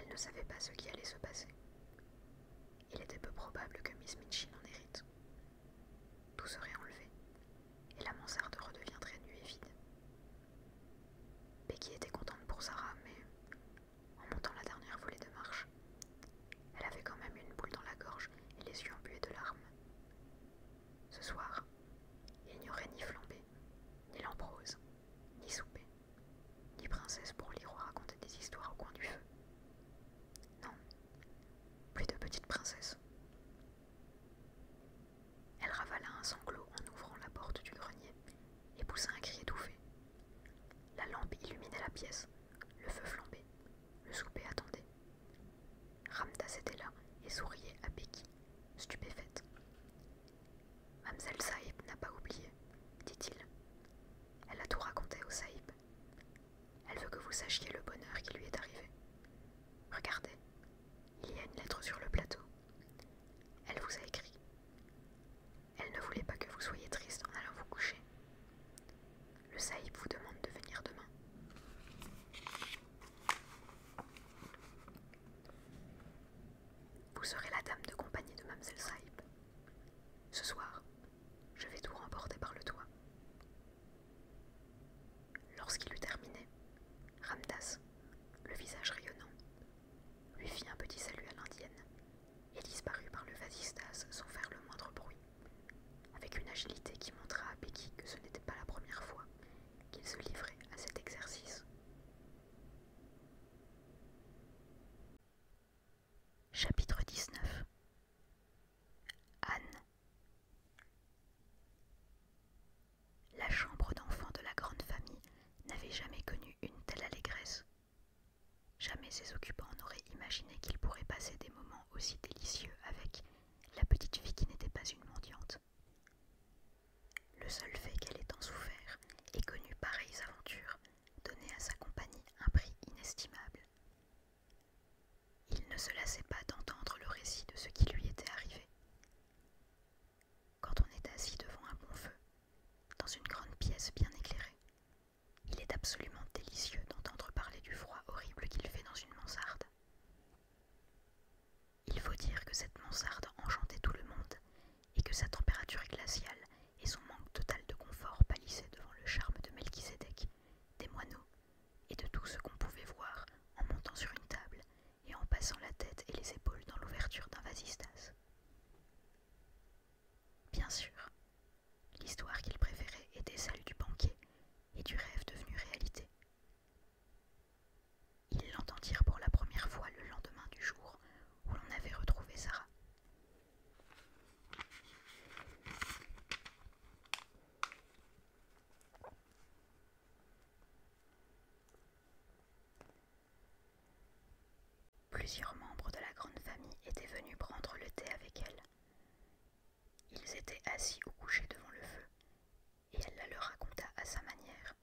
Elle ne savait pas ce qui allait se passer. Il était peu probable que Miss Minchin en hérite, tout serait enlevé, et la mansarde redeviendrait nue et vide. Becky était contente pour Sarah, mais en montant la dernière volée de marche, elle avait quand même une boule dans la gorge et les yeux embués de larmes. Ce soir, il n'y aurait ni flambée, ni lamprose, ni souper, ni princesse pour lire ou raconter des histoires au coin du feu. Non, plus de petites princesses Elle ravala un sanglot en ouvrant la porte du grenier et poussa un cri étouffé. La lampe illuminait la pièce, le feu flambait, le souper attendait. Ramdas était là et souriait à Becky, stupéfaite. Mamselle Saïb n'a pas oublié, dit-il. Elle a tout raconté au Saïb. Elle veut que vous sachiez le bonheur qui lui est arrivé. Regardez, il y a une lettre sur le plateau. Elle vous a écrit. Elle ne voulait pas que vous soyez triste en allant vous coucher. Le Saïb vous demande de venir demain. Vous serez la dame de compagnie de Mamselle Saïb. Ce soir, je vais tout remporter par le toit. Lorsqu'il eut terminé, Ramdas, le visage rayonnant, lui fit un petit salut à l'indienne et disparut par le vasistas sans faire le moindre bruit, avec une agilité qui montra à Becky que ce n'était pas la première fois qu'il se livrait à cet exercice. Chapitre 19 Anne. La chambre d'enfant de la grande famille n'avait jamais connu une telle allégresse. Jamais ses occupants n'auraient imaginé qu'ils pourraient passer des moments aussi délicieux avec la petite fille qui n'était pas une mendiante. Le seul fait qu'elle ait tant souffert et connu pareilles aventures donnait à sa compagnie un prix inestimable. Il ne se lassait pas d'entendre le récit de ce qui lui était arrivé. Quand on est assis devant un bon feu, dans une grande pièce bien éclairée, il est absolument délicieux d'entendre parler du froid horrible qu'il fait dans une mansarde. Il faut dire que cette mansarde enchantait tout le monde et que sa température glaciale et son manque total de confort pâlissaient devant le charme de Melchizedek, des moineaux et de tout ce qu'on pouvait voir en montant sur une table et en passant la tête et les épaules dans l'ouverture d'un vasistas. Bien sûr, l'histoire qu'il préférait était celle du banquier et du rêve devenu réalité. Ils l'entendirent pour la première fois le lendemain du jour où l'on avait retrouvé Sarah. Plusieurs membres de la grande famille étaient venus prendre le thé avec elle. Ils étaient assis ou couchés devant le feu, et elle la leur raconta à sa manière,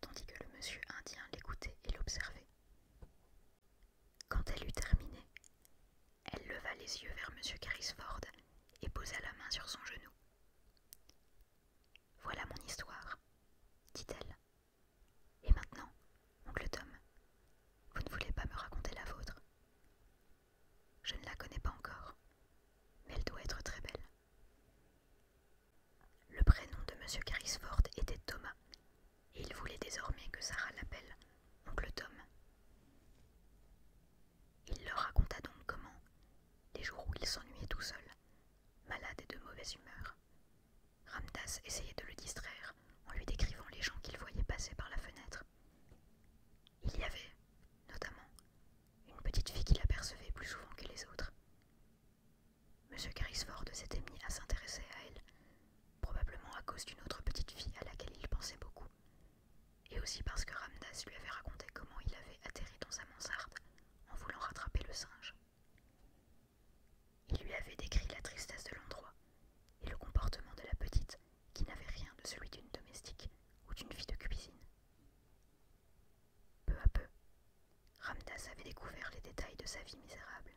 tandis que le monsieur indien l'écoutait et l'observait. Quand elle eut terminé, elle leva les yeux vers M. Carrisford et posa la main sur son genou. Voilà mon histoire, dit-elle. Et maintenant, oncle Tom, vous ne voulez pas me raconter la vôtre Je ne la connais pas encore, mais elle doit être très belle. Le prénom de M. Carrisford était Thomas, et il voulait désormais que Sarah l'appelle oncle Tom. Il leur raconta donc comment, les jours où il s'ennuyait tout seul, malade et de mauvaise humeur, Ramdas essayait de le distraire en lui décrivant les gens qu'il voyait passer par la fenêtre. Il y avait, notamment, une petite fille qu'il apercevait plus souvent que les autres. M. Carrisford s'était mis à s'intéresser à elle, probablement à cause d'une autre petite fille à laquelle il pensait beaucoup, et aussi parce que Ramdas lui avait raconté comment il avait atterri dans sa mansarde en voulant rattraper le singe. Il lui avait décrit la tristesse de l'endroit et le comportement de la petite qui n'avait rien de celui d'une domestique ou d'une fille de cuisine. Peu à peu, Ramdas avait découvert les détails de sa vie misérable.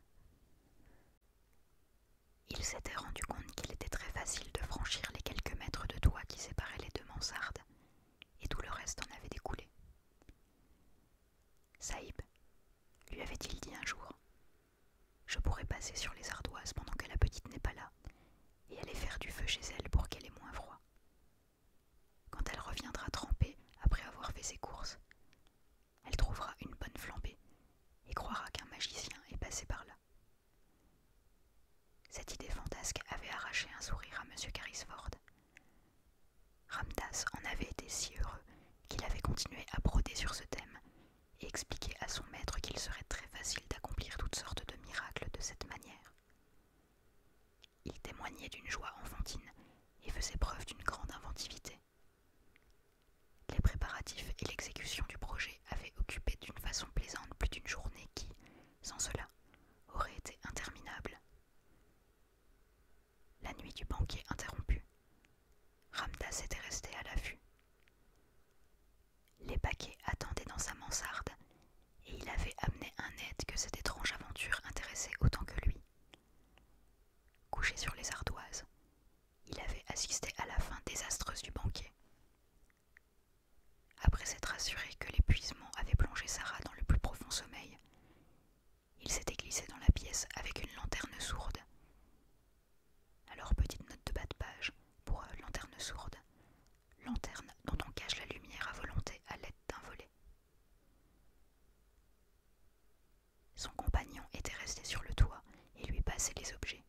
Il s'était rendu compte qu'il était très facile de franchir les quelques mètres de toit qui séparaient les deux mansardes, et tout le reste en avait découlé. Saïb, lui avait-il dit un jour, je pourrais passer sur les ardoises pendant que la petite n'est pas là, et aller faire du feu chez elle pour qu'elle ait moins froid. Quand elle reviendra trempée après avoir fait ses courses, elle trouvera une bonne flambée et croira qu'un magicien est passé par là. Cette idée fantasque avait arraché un sourire à M. Carisford. Ramdas en avait été si heureux qu'il avait continué à broder sur ce thème et expliqué à son maître qu'il serait très facile d'accomplir toutes sortes de miracles de cette manière. Il témoignait d'une joie enfantine et faisait preuve d'une grande inventivité. Les préparatifs et l'exécution du projet avait occupé d'une façon plaisante plus d'une journée qui, sans cela, aurait été interminable. La nuit du banquier interrompue, Ramdas était resté à l'affût. Les paquets attendaient dans sa mansarde, et il avait amené un aide que cette étrange aventure intéressait autant que lui. Couché sur les ardoises, il avait assisté à la fin désastreuse du banquet. Après s'être assuré que l'épuisement avait plongé Sarah dans le plus profond sommeil, il s'était glissé dans la pièce avec une lanterne sourde. Alors petite note de bas de page pour euh, lanterne sourde, lanterne dont on cache la lumière à volonté à l'aide d'un volet. Son compagnon était resté sur le toit et lui passait les objets.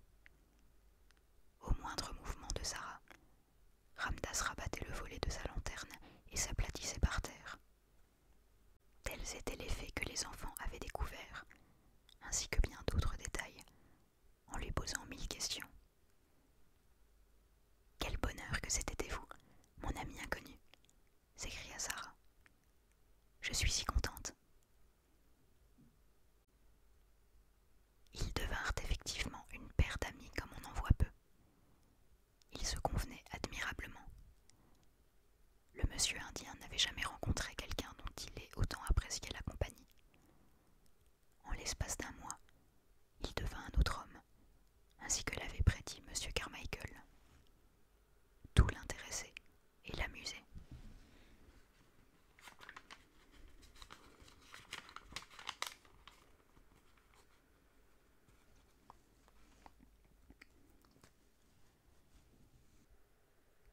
Au moindre mouvement de Sarah, Ramdas rabattait le volet de sa lanterne et s'aplatissait par terre. Tels étaient les faits que les enfants avaient découverts, ainsi que bien d'autres détails, en lui posant mille questions. Quel bonheur que c'était vous, mon ami inconnu s'écria Sarah. Je suis si contente. Ils devinrent effectivement une paire d'amis comme on en voit peu. Ils se convenaient admirablement. Le monsieur indien n'avait jamais rencontré quelqu'un dont il ait autant apprécié la compagnie. En l'espace d'un mois, il devint un autre homme, ainsi que l'avait prédit monsieur Carmichael. Tout l'intéressait et l'amusait.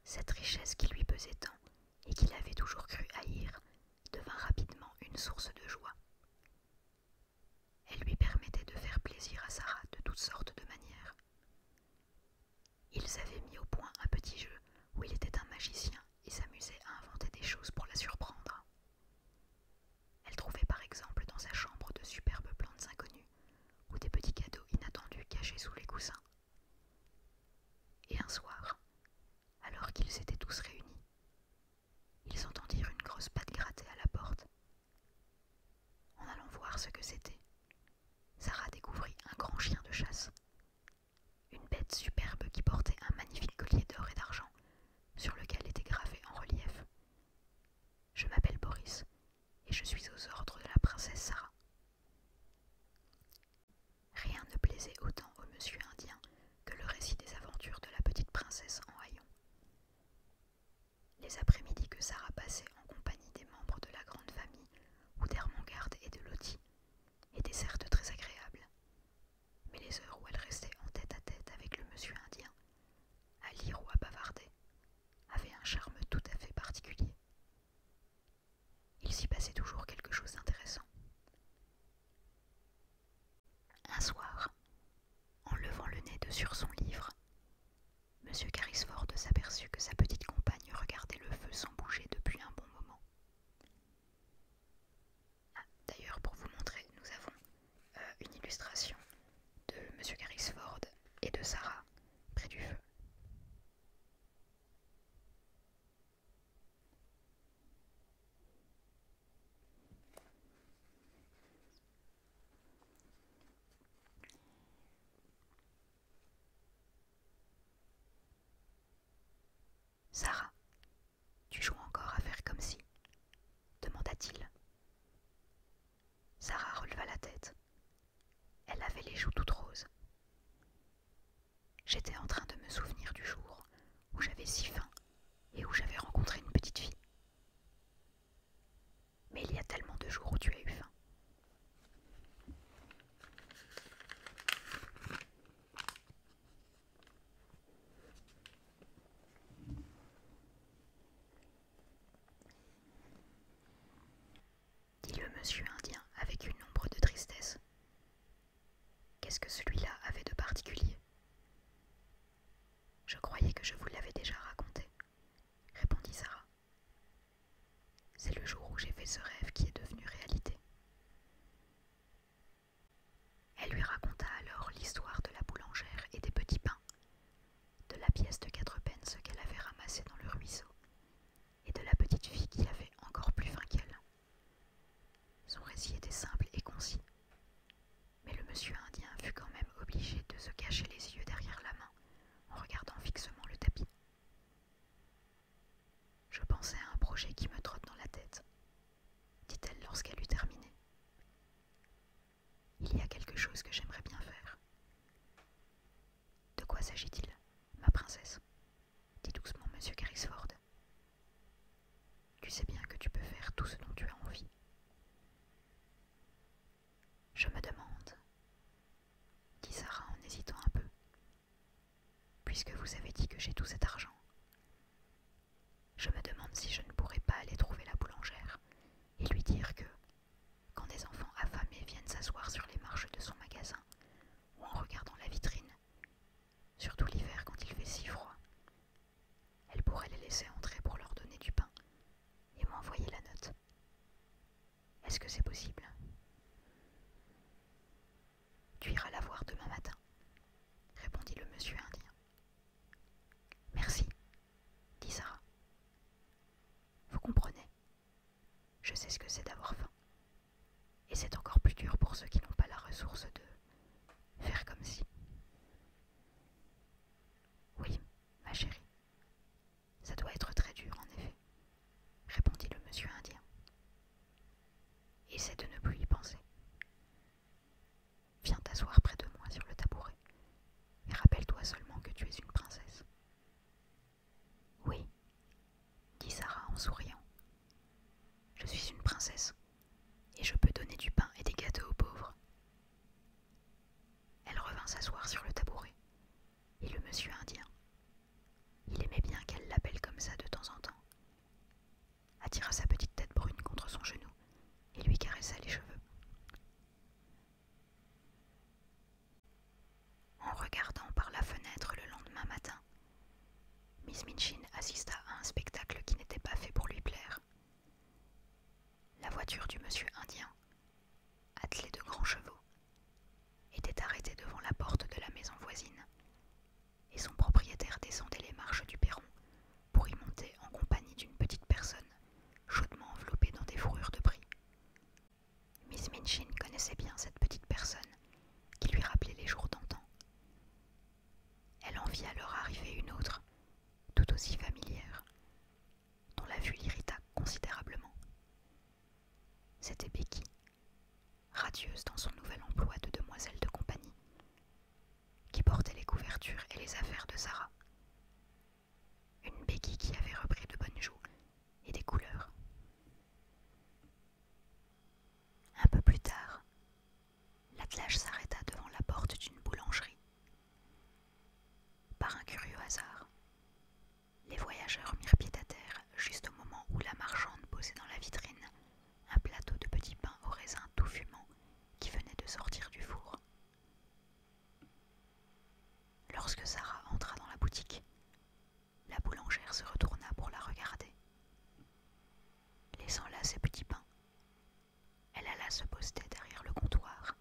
Cette richesse qui lui pesait tant et qu'il avait toujours cru haïr devint rapidement une source de joie. Elle lui permettait de faire plaisir à Sarah de toutes sortes de manières. Ils avaient mis au point un petit jeu où il était un magicien et s'amusait à inventer des choses pour la surprendre. Elle trouvait par exemple dans sa chambre de superbes plantes inconnues ou des petits cadeaux inattendus cachés sous les coussins. Et un soir, alors qu'ils étaient tous réunis, ils entendirent une grosse patte gratter à la porte. En allant voir ce que c'était, Sarah découvrit un grand chien de chasse, une bête superbe qui portait un magnifique collier d'or et d'argent, sur lequel était gravé en relief. Je m'appelle Boris, et je suis aux ordres de la princesse Sarah. Rien ne plaisait autant au monsieur indien que le récit des aventures de la petite princesse en haillons. Les après-midi que Sarah passait en compagnie des membres de la grande famille, ou d'Hermongarde et de Lottie, était certes très agréable, mais les heures où elle restait en tête à tête avec le monsieur indien, à lire ou à bavarder, avaient un charme tout à fait particulier. Il s'y passait toujours quelque chose d'intéressant. Un soir, en levant le nez de sur son livre, M. Carisford s'aperçut que sa petite compagne regardait le feu sans bouger depuis un bon moment. D'ailleurs, pour vous montrer, nous avons euh, une illustration de Monsieur Ford et de Sarah près du feu. Sarah, tu joues encore à faire comme si demanda-t-il. Sarah releva la tête. Elle avait les joues toutes roses. J'étais en train de me souvenir du jour où j'avais si faim et où j'avais rencontré une petite fille. Mais il y a tellement de jours où tu as eu faim dit le monsieur indien avec une ombre de tristesse. Qu'est-ce que celui-là avait de particulier Je croyais que je vous l'avais déjà raconté, répondit Sarah. C'est le jour où j'ai fait ce rêve qui est devenu réalité. Elle lui raconta alors l'histoire de la boulangère et des petits pains, de la pièce de quatre pence qu'elle avait ramassée dans le ruisseau, et de la petite fille qui avait encore plus faim qu'elle. Son récit était simple et concis, mais le monsieur indien fut quand même obligé de se cacher les yeux derrière la main en regardant fixement le tapis. Je pensais à un projet qui me trotte dans la tête, dit-elle lorsqu'elle eut terminé. Il y a quelque chose que j'aimerais bien faire. De quoi s'agit-il, ma princesse dit doucement M. Grisford. « Tu sais bien que tu peux faire tout ce dont tu as envie. Je me demande, dit Sarah en hésitant un peu, Puisque vous avez dit que j'ai tout cet argent, je me demande si je ne pourrais pas aller trouver la boulangère et lui dire que, quand des enfants affamés viennent s'asseoir sur les marches de son magasin ou en regardant la vitrine, surtout l'hiver quand il fait si froid, elle pourrait les laisser entrer pour leur donner du pain et m'envoyer la note. Est-ce que c'est possible tu iras la voir demain matin, répondit le monsieur indien. Merci, dit Sarah. Vous comprenez, je sais ce que c'est d'avoir faim. Et c'est encore plus dur pour ceux qui n'ont pas la ressource de faire comme si. Oui, ma chérie, ça doit être très dur en effet, répondit le monsieur indien. Essaie de ne plus y penser. Viens t'asseoir près de moi sur le tabouret et rappelle-toi seulement que tu es une princesse. Oui, dit Sarah en souriant. Je suis une princesse et je peux donner du pain et des gâteaux aux pauvres. Elle revint s'asseoir sur le tabouret et le monsieur indien, il aimait bien qu'elle l'appelle comme ça de temps en temps. Attira sa petite tête brune contre son genou et lui caressa les cheveux. En regardant par la fenêtre le lendemain matin, Miss Minchin assista à un spectacle qui n'était pas fait pour lui plaire. La voiture du monsieur indien, attelée de grands chevaux, était arrêtée devant la porte de la maison voisine, et son propriétaire descendait les marches du perron pour y monter en compagnie d'une petite personne, chaudement enveloppée dans des fourrures de prix. Miss Minchin connaissait bien cette petite personne, qui lui rappelait les jours d'antan. Elle en vit alors arriver une autre, tout aussi familière, dont la vue l'irrita considérablement. C'était Becky, radieuse dans son nouvel emploi de demoiselle de compagnie, qui portait les couvertures et les affaires de Sarah. Une béquille qui avait repris de bonnes joues et des couleurs. Un peu plus tard, l'attelage s'arrêta devant la porte d'une boulangerie. Par un curieux hasard, les voyageurs mirent pied à terre juste au moment où la marchande posait dans la vitrine un plateau de petits pains au raisin tout fumant, qui venait de sortir du four. Lorsque Sarah entra dans la boutique, la boulangère se retourna pour la regarder. Laissant là ses petits pains, elle alla se poster derrière le comptoir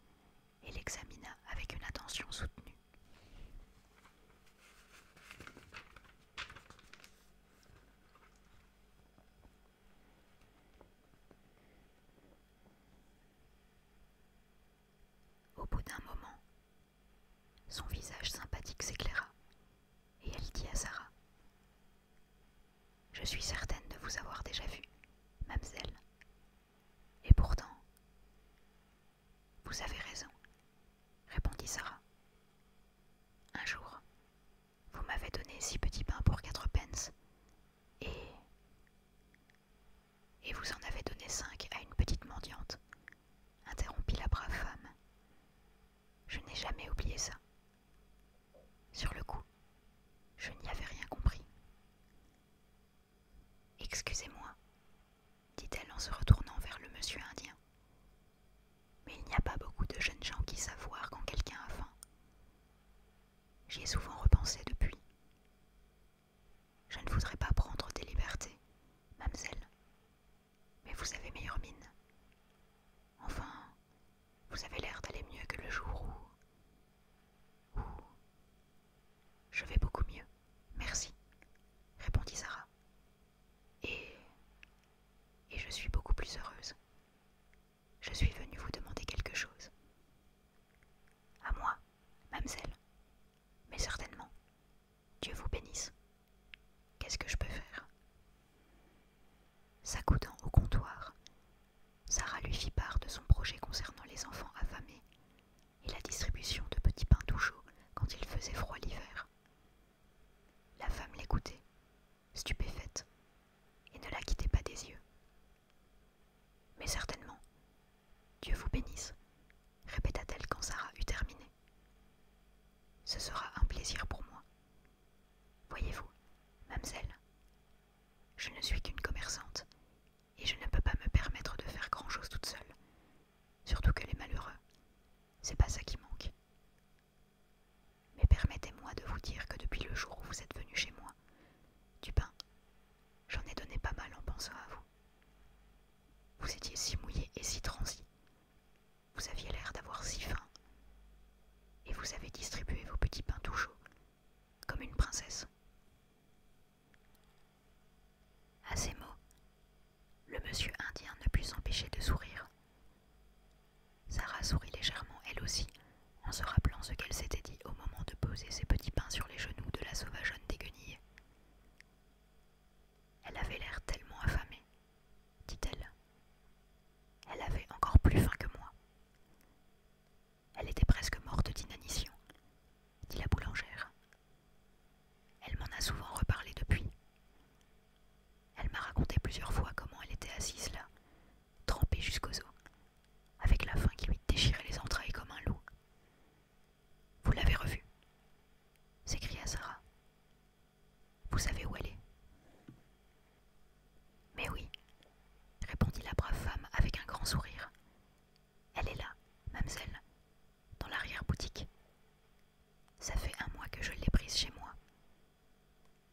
et l'examina avec une attention soutenue. Au bout d'un moment, son visage sympathique s'éclaira et elle dit à Sarah Je suis certaine de vous avoir déjà vue, mamselle, Et pourtant, vous avez raison, répondit Sarah. Un jour, vous m'avez donné six petits pains pour quatre pence, et. Et vous en avez donné cinq à une petite mendiante, interrompit la brave femme. Je n'ai jamais oublié ça. Sur le coup, je n'y avais rien compris. Excusez-moi, dit-elle en se retournant vers le monsieur indien. Mais il n'y a pas beaucoup de jeunes gens qui savent voir quand quelqu'un a faim. J'y ai souvent repensé depuis. Je ne voudrais pas prendre des libertés, mademoiselle. Mais vous avez meilleure mine. Enfin, vous avez l'air d'aller mieux que le jour où... où... Je vais beaucoup mieux, merci, répondit Sarah, et, et je suis beaucoup plus heureuse. Je suis venue vous demander quelque chose. À moi, mademoiselle. Mais certainement. Dieu vous bénisse. Qu'est-ce que je peux faire S'accoudant au comptoir, Sarah lui fit part de son projet concernant les enfants affamés et la distribution de petits pains tout chauds quand il faisait froid l'hiver. La femme l'écoutait, stupéfaite, et ne la quittait pas des yeux. Mais certainement, Dieu vous bénisse, répéta-t-elle quand Sarah eut terminé. Ce sera un plaisir pour moi. Voyez-vous, mademoiselle, je ne suis qu'une commerçante, et je ne peux pas me permettre de faire grand-chose toute seule, surtout que les malheureux, c'est pas ça qui manque. Mais permettez-moi de vous dire que depuis le jour où vous êtes venu chez moi, du pain, j'en ai donné pas mal en pensant à vous. Vous étiez si mouillé et si transi. Vous aviez l'air d'avoir si faim. Et vous avez distribué vos petits pains tout chauds, comme une princesse. À ces mots, le monsieur indien ne put s'empêcher de sourire Sarah sourit légèrement elle aussi, en se rappelant ce qu'elle s'était dit au moment de poser ses petits pains sur les genoux de la sauvageonne déguenillée « Elle avait l'air tellement affamée, dit-elle. Elle avait encore plus faim que moi. Elle était presque morte d'inanition, dit la boulangère. Elle m'en a souvent reparlé depuis, elle m'a raconté plusieurs fois comment elle était assise là, trempée jusqu'aux os, avec la faim qui lui déchirait les entrailles comme un loup. Vous l'avez revue s'écria Sarah. Vous savez où elle est Mais oui, répondit la brave femme avec un grand sourire. Elle est là, mamselle, dans l'arrière-boutique. Ça fait un mois que je l'ai prise chez moi.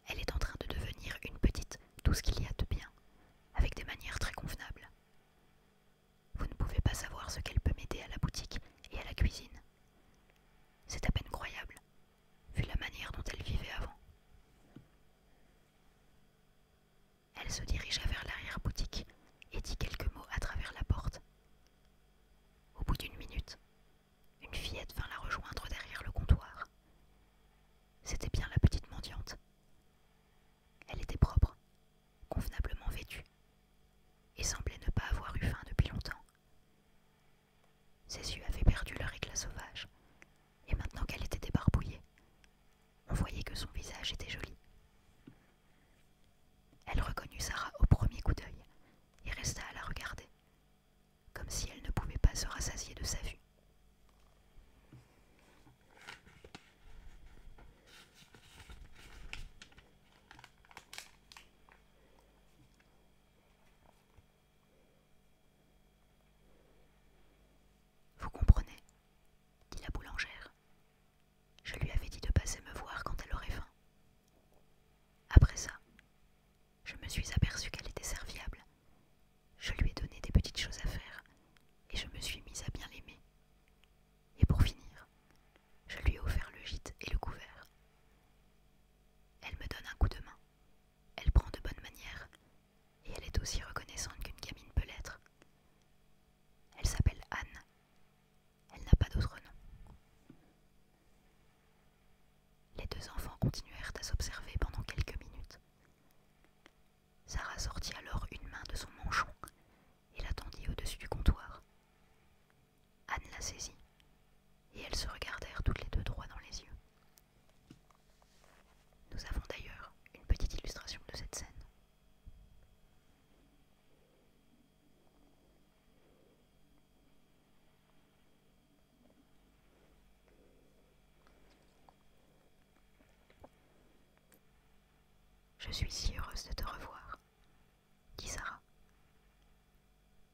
Elle est en train de devenir une petite, tout ce qu'il y a de bien, avec des manières très convenables. Vous ne pouvez pas savoir ce qu'elle peut m'aider à la boutique et à la cuisine. C'est à peine croyable, vu la manière dont elle vivait avant. Elle se dirigea vers l'arrière-boutique et dit quelques mots à travers la porte. Au bout d'une minute, une fillette vint la rejoindre derrière le comptoir. C'était bien la petite mendiante. Elle était propre, convenablement vêtue, et semblait ne pas avoir eu faim depuis longtemps. Ses yeux avaient perdu leur éclat sauvage, et maintenant qu'elle était débarbouillée, on voyait que son visage était joli. Elle reconnut Sarah au premier coup d'œil et resta à la regarder, comme si elle ne pouvait pas se rassasier de sa vue. Vous comprenez dit la boulangère. Je lui avais dit de passer me voir quand elle aurait faim. Après ça, je me suis aperçue qu'elle était serviable. Je lui ai donné des petites choses à faire et je me suis mise à bien l'aimer. Et pour finir, je lui ai offert le gîte et le couvert. Elle me donne un coup de main, elle prend de bonnes manières et elle est aussi reconnaissante qu'une gamine peut l'être. Elle s'appelle Anne. Elle n'a pas d'autre nom. Les deux enfants continuèrent à s'observer pendant quelques minutes. Sarah sortit alors une main de son manchon et la tendit au-dessus du comptoir. Anne la saisit et elles se regardèrent toutes les deux droit dans les yeux. Nous avons d'ailleurs une petite illustration de cette scène. Je suis si heureuse de te revoir, dit Sarah.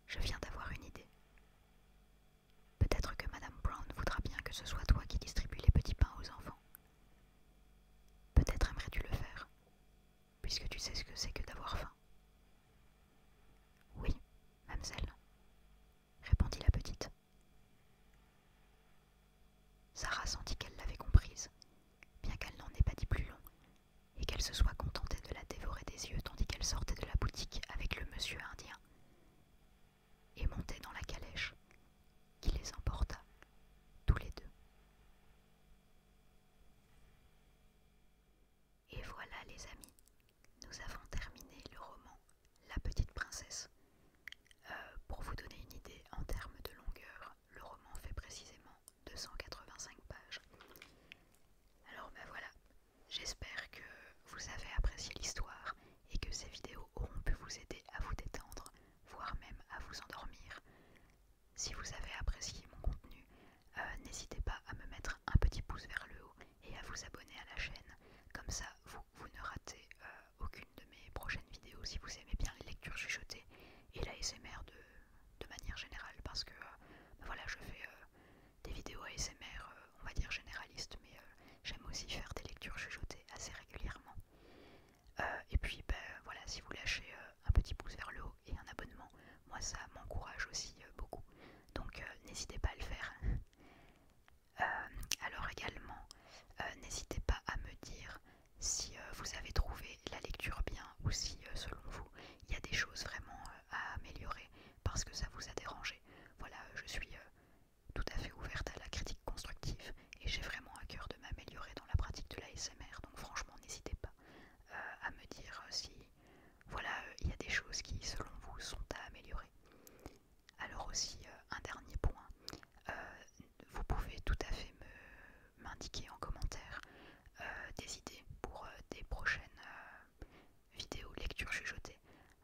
Je viens d'avoir une idée. Peut-être que Madame Brown voudra bien que ce soit toi qui distribues les petits pains aux enfants. Peut-être aimerais-tu le faire, puisque tu sais ce que c'est que d'avoir faim. Oui, mademoiselle, répondit la petite. Sarah sentit qu'elle l'avait comprise, bien qu'elle n'en ait pas dit plus long, et qu'elle se soit contentée de la dévorer des yeux tandis qu'elle sortait de la boutique avec le monsieur indien, et montait dans la calèche, qui les emporta, tous les deux. Et voilà les amis, nous avons terminé le roman La Petite Princesse. Euh, pour vous donner une idée en termes de longueur, le roman fait précisément 285 pages. Alors ben voilà, j'espère que vous avez apprécié l'histoire et que ces vidéos auront pu vous aider à vous détendre, voire même à vous endormir. Si vous avez apprécié mon contenu, euh, n'hésitez pas à me mettre un petit pouce vers le haut et à vous abonner à la chaîne. Comme ça, vous, ne ratez euh, aucune de mes prochaines vidéos si vous aimez bien les lectures chuchotées et la de, manière générale. Parce que euh, voilà, je fais des vidéos ASMR, on va dire généralistes, mais j'aime aussi faire des lectures chuchotées assez régulièrement. et puis ben, voilà, si vous lâchez un petit pouce vers le haut et un abonnement, moi ça m'encourage aussi beaucoup donc euh, n'hésitez pas à le faire. Euh, alors également, euh, n'hésitez pas à me dire si vous avez trouvé la lecture bien ou si selon vous il y a des choses vraiment à améliorer parce que ça vous a dérangé. Voilà, je suis tout à fait ouverte à la critique constructive et j'ai vraiment à cœur de m'améliorer dans la pratique de la l'ASMR, donc franchement n'hésitez pas à me dire si voilà, euh, il y a des choses qui, selon vous, sont à améliorer. Alors aussi, euh, un dernier point, euh, vous pouvez tout à fait m'indiquer en commentaire des idées pour des prochaines vidéos lectures chuchotées.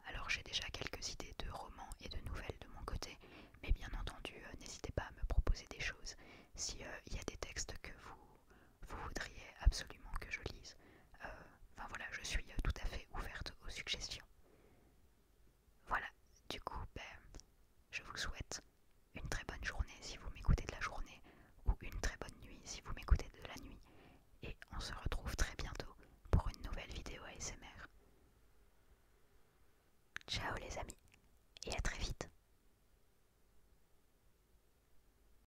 Alors j'ai déjà quelques idées de romans et de nouvelles de mon côté, mais bien entendu, n'hésitez pas à me proposer des choses. Si y a des textes que vous vous voudriez absolument que je lise. Euh, enfin voilà, je suis tout à fait ouverte aux suggestions. Voilà, du coup, ben, je vous souhaite une très bonne journée si vous m'écoutez de la journée, ou une très bonne nuit si vous m'écoutez de la nuit, et on se retrouve très bientôt pour une nouvelle vidéo ASMR. Ciao les amis, et à très vite